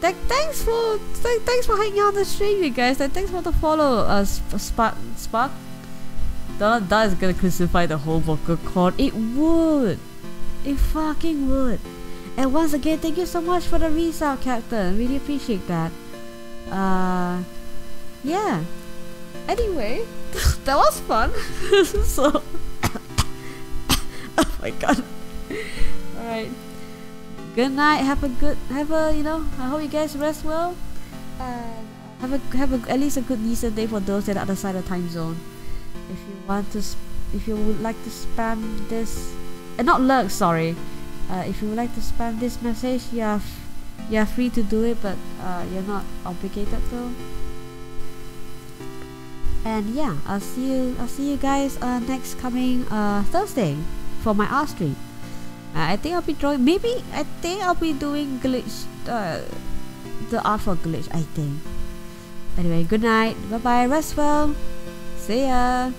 thanks for thanks for hanging out on the stream, you guys. Th thanks for the follow, uh, Sp Spark. Spark. That that is gonna crucify the whole vocal cord. It would. It fucking would. And once again, thank you so much for the resub, Captain. Really appreciate that. Uh, yeah. Anyway, *laughs* that was fun. *laughs* so, *coughs* *coughs* oh my god. Alright, Good night. Have a good. Have a you know. I hope you guys rest well. And uh, have a have a, at least a good decent day for those that are outside the time zone. If you want to, if you would like to spam this, eh, not lurk. Sorry. Uh, if you would like to spam this message, you are you are free to do it, but uh, you're not obligated though. And yeah, I'll see you. I'll see you guys next coming Thursday for my art stream. Uh, I think I'll be drawing. Maybe I think I'll be doing glitch. Uh, the art for glitch. I think. Anyway, good night. Bye bye. Rest well. See ya.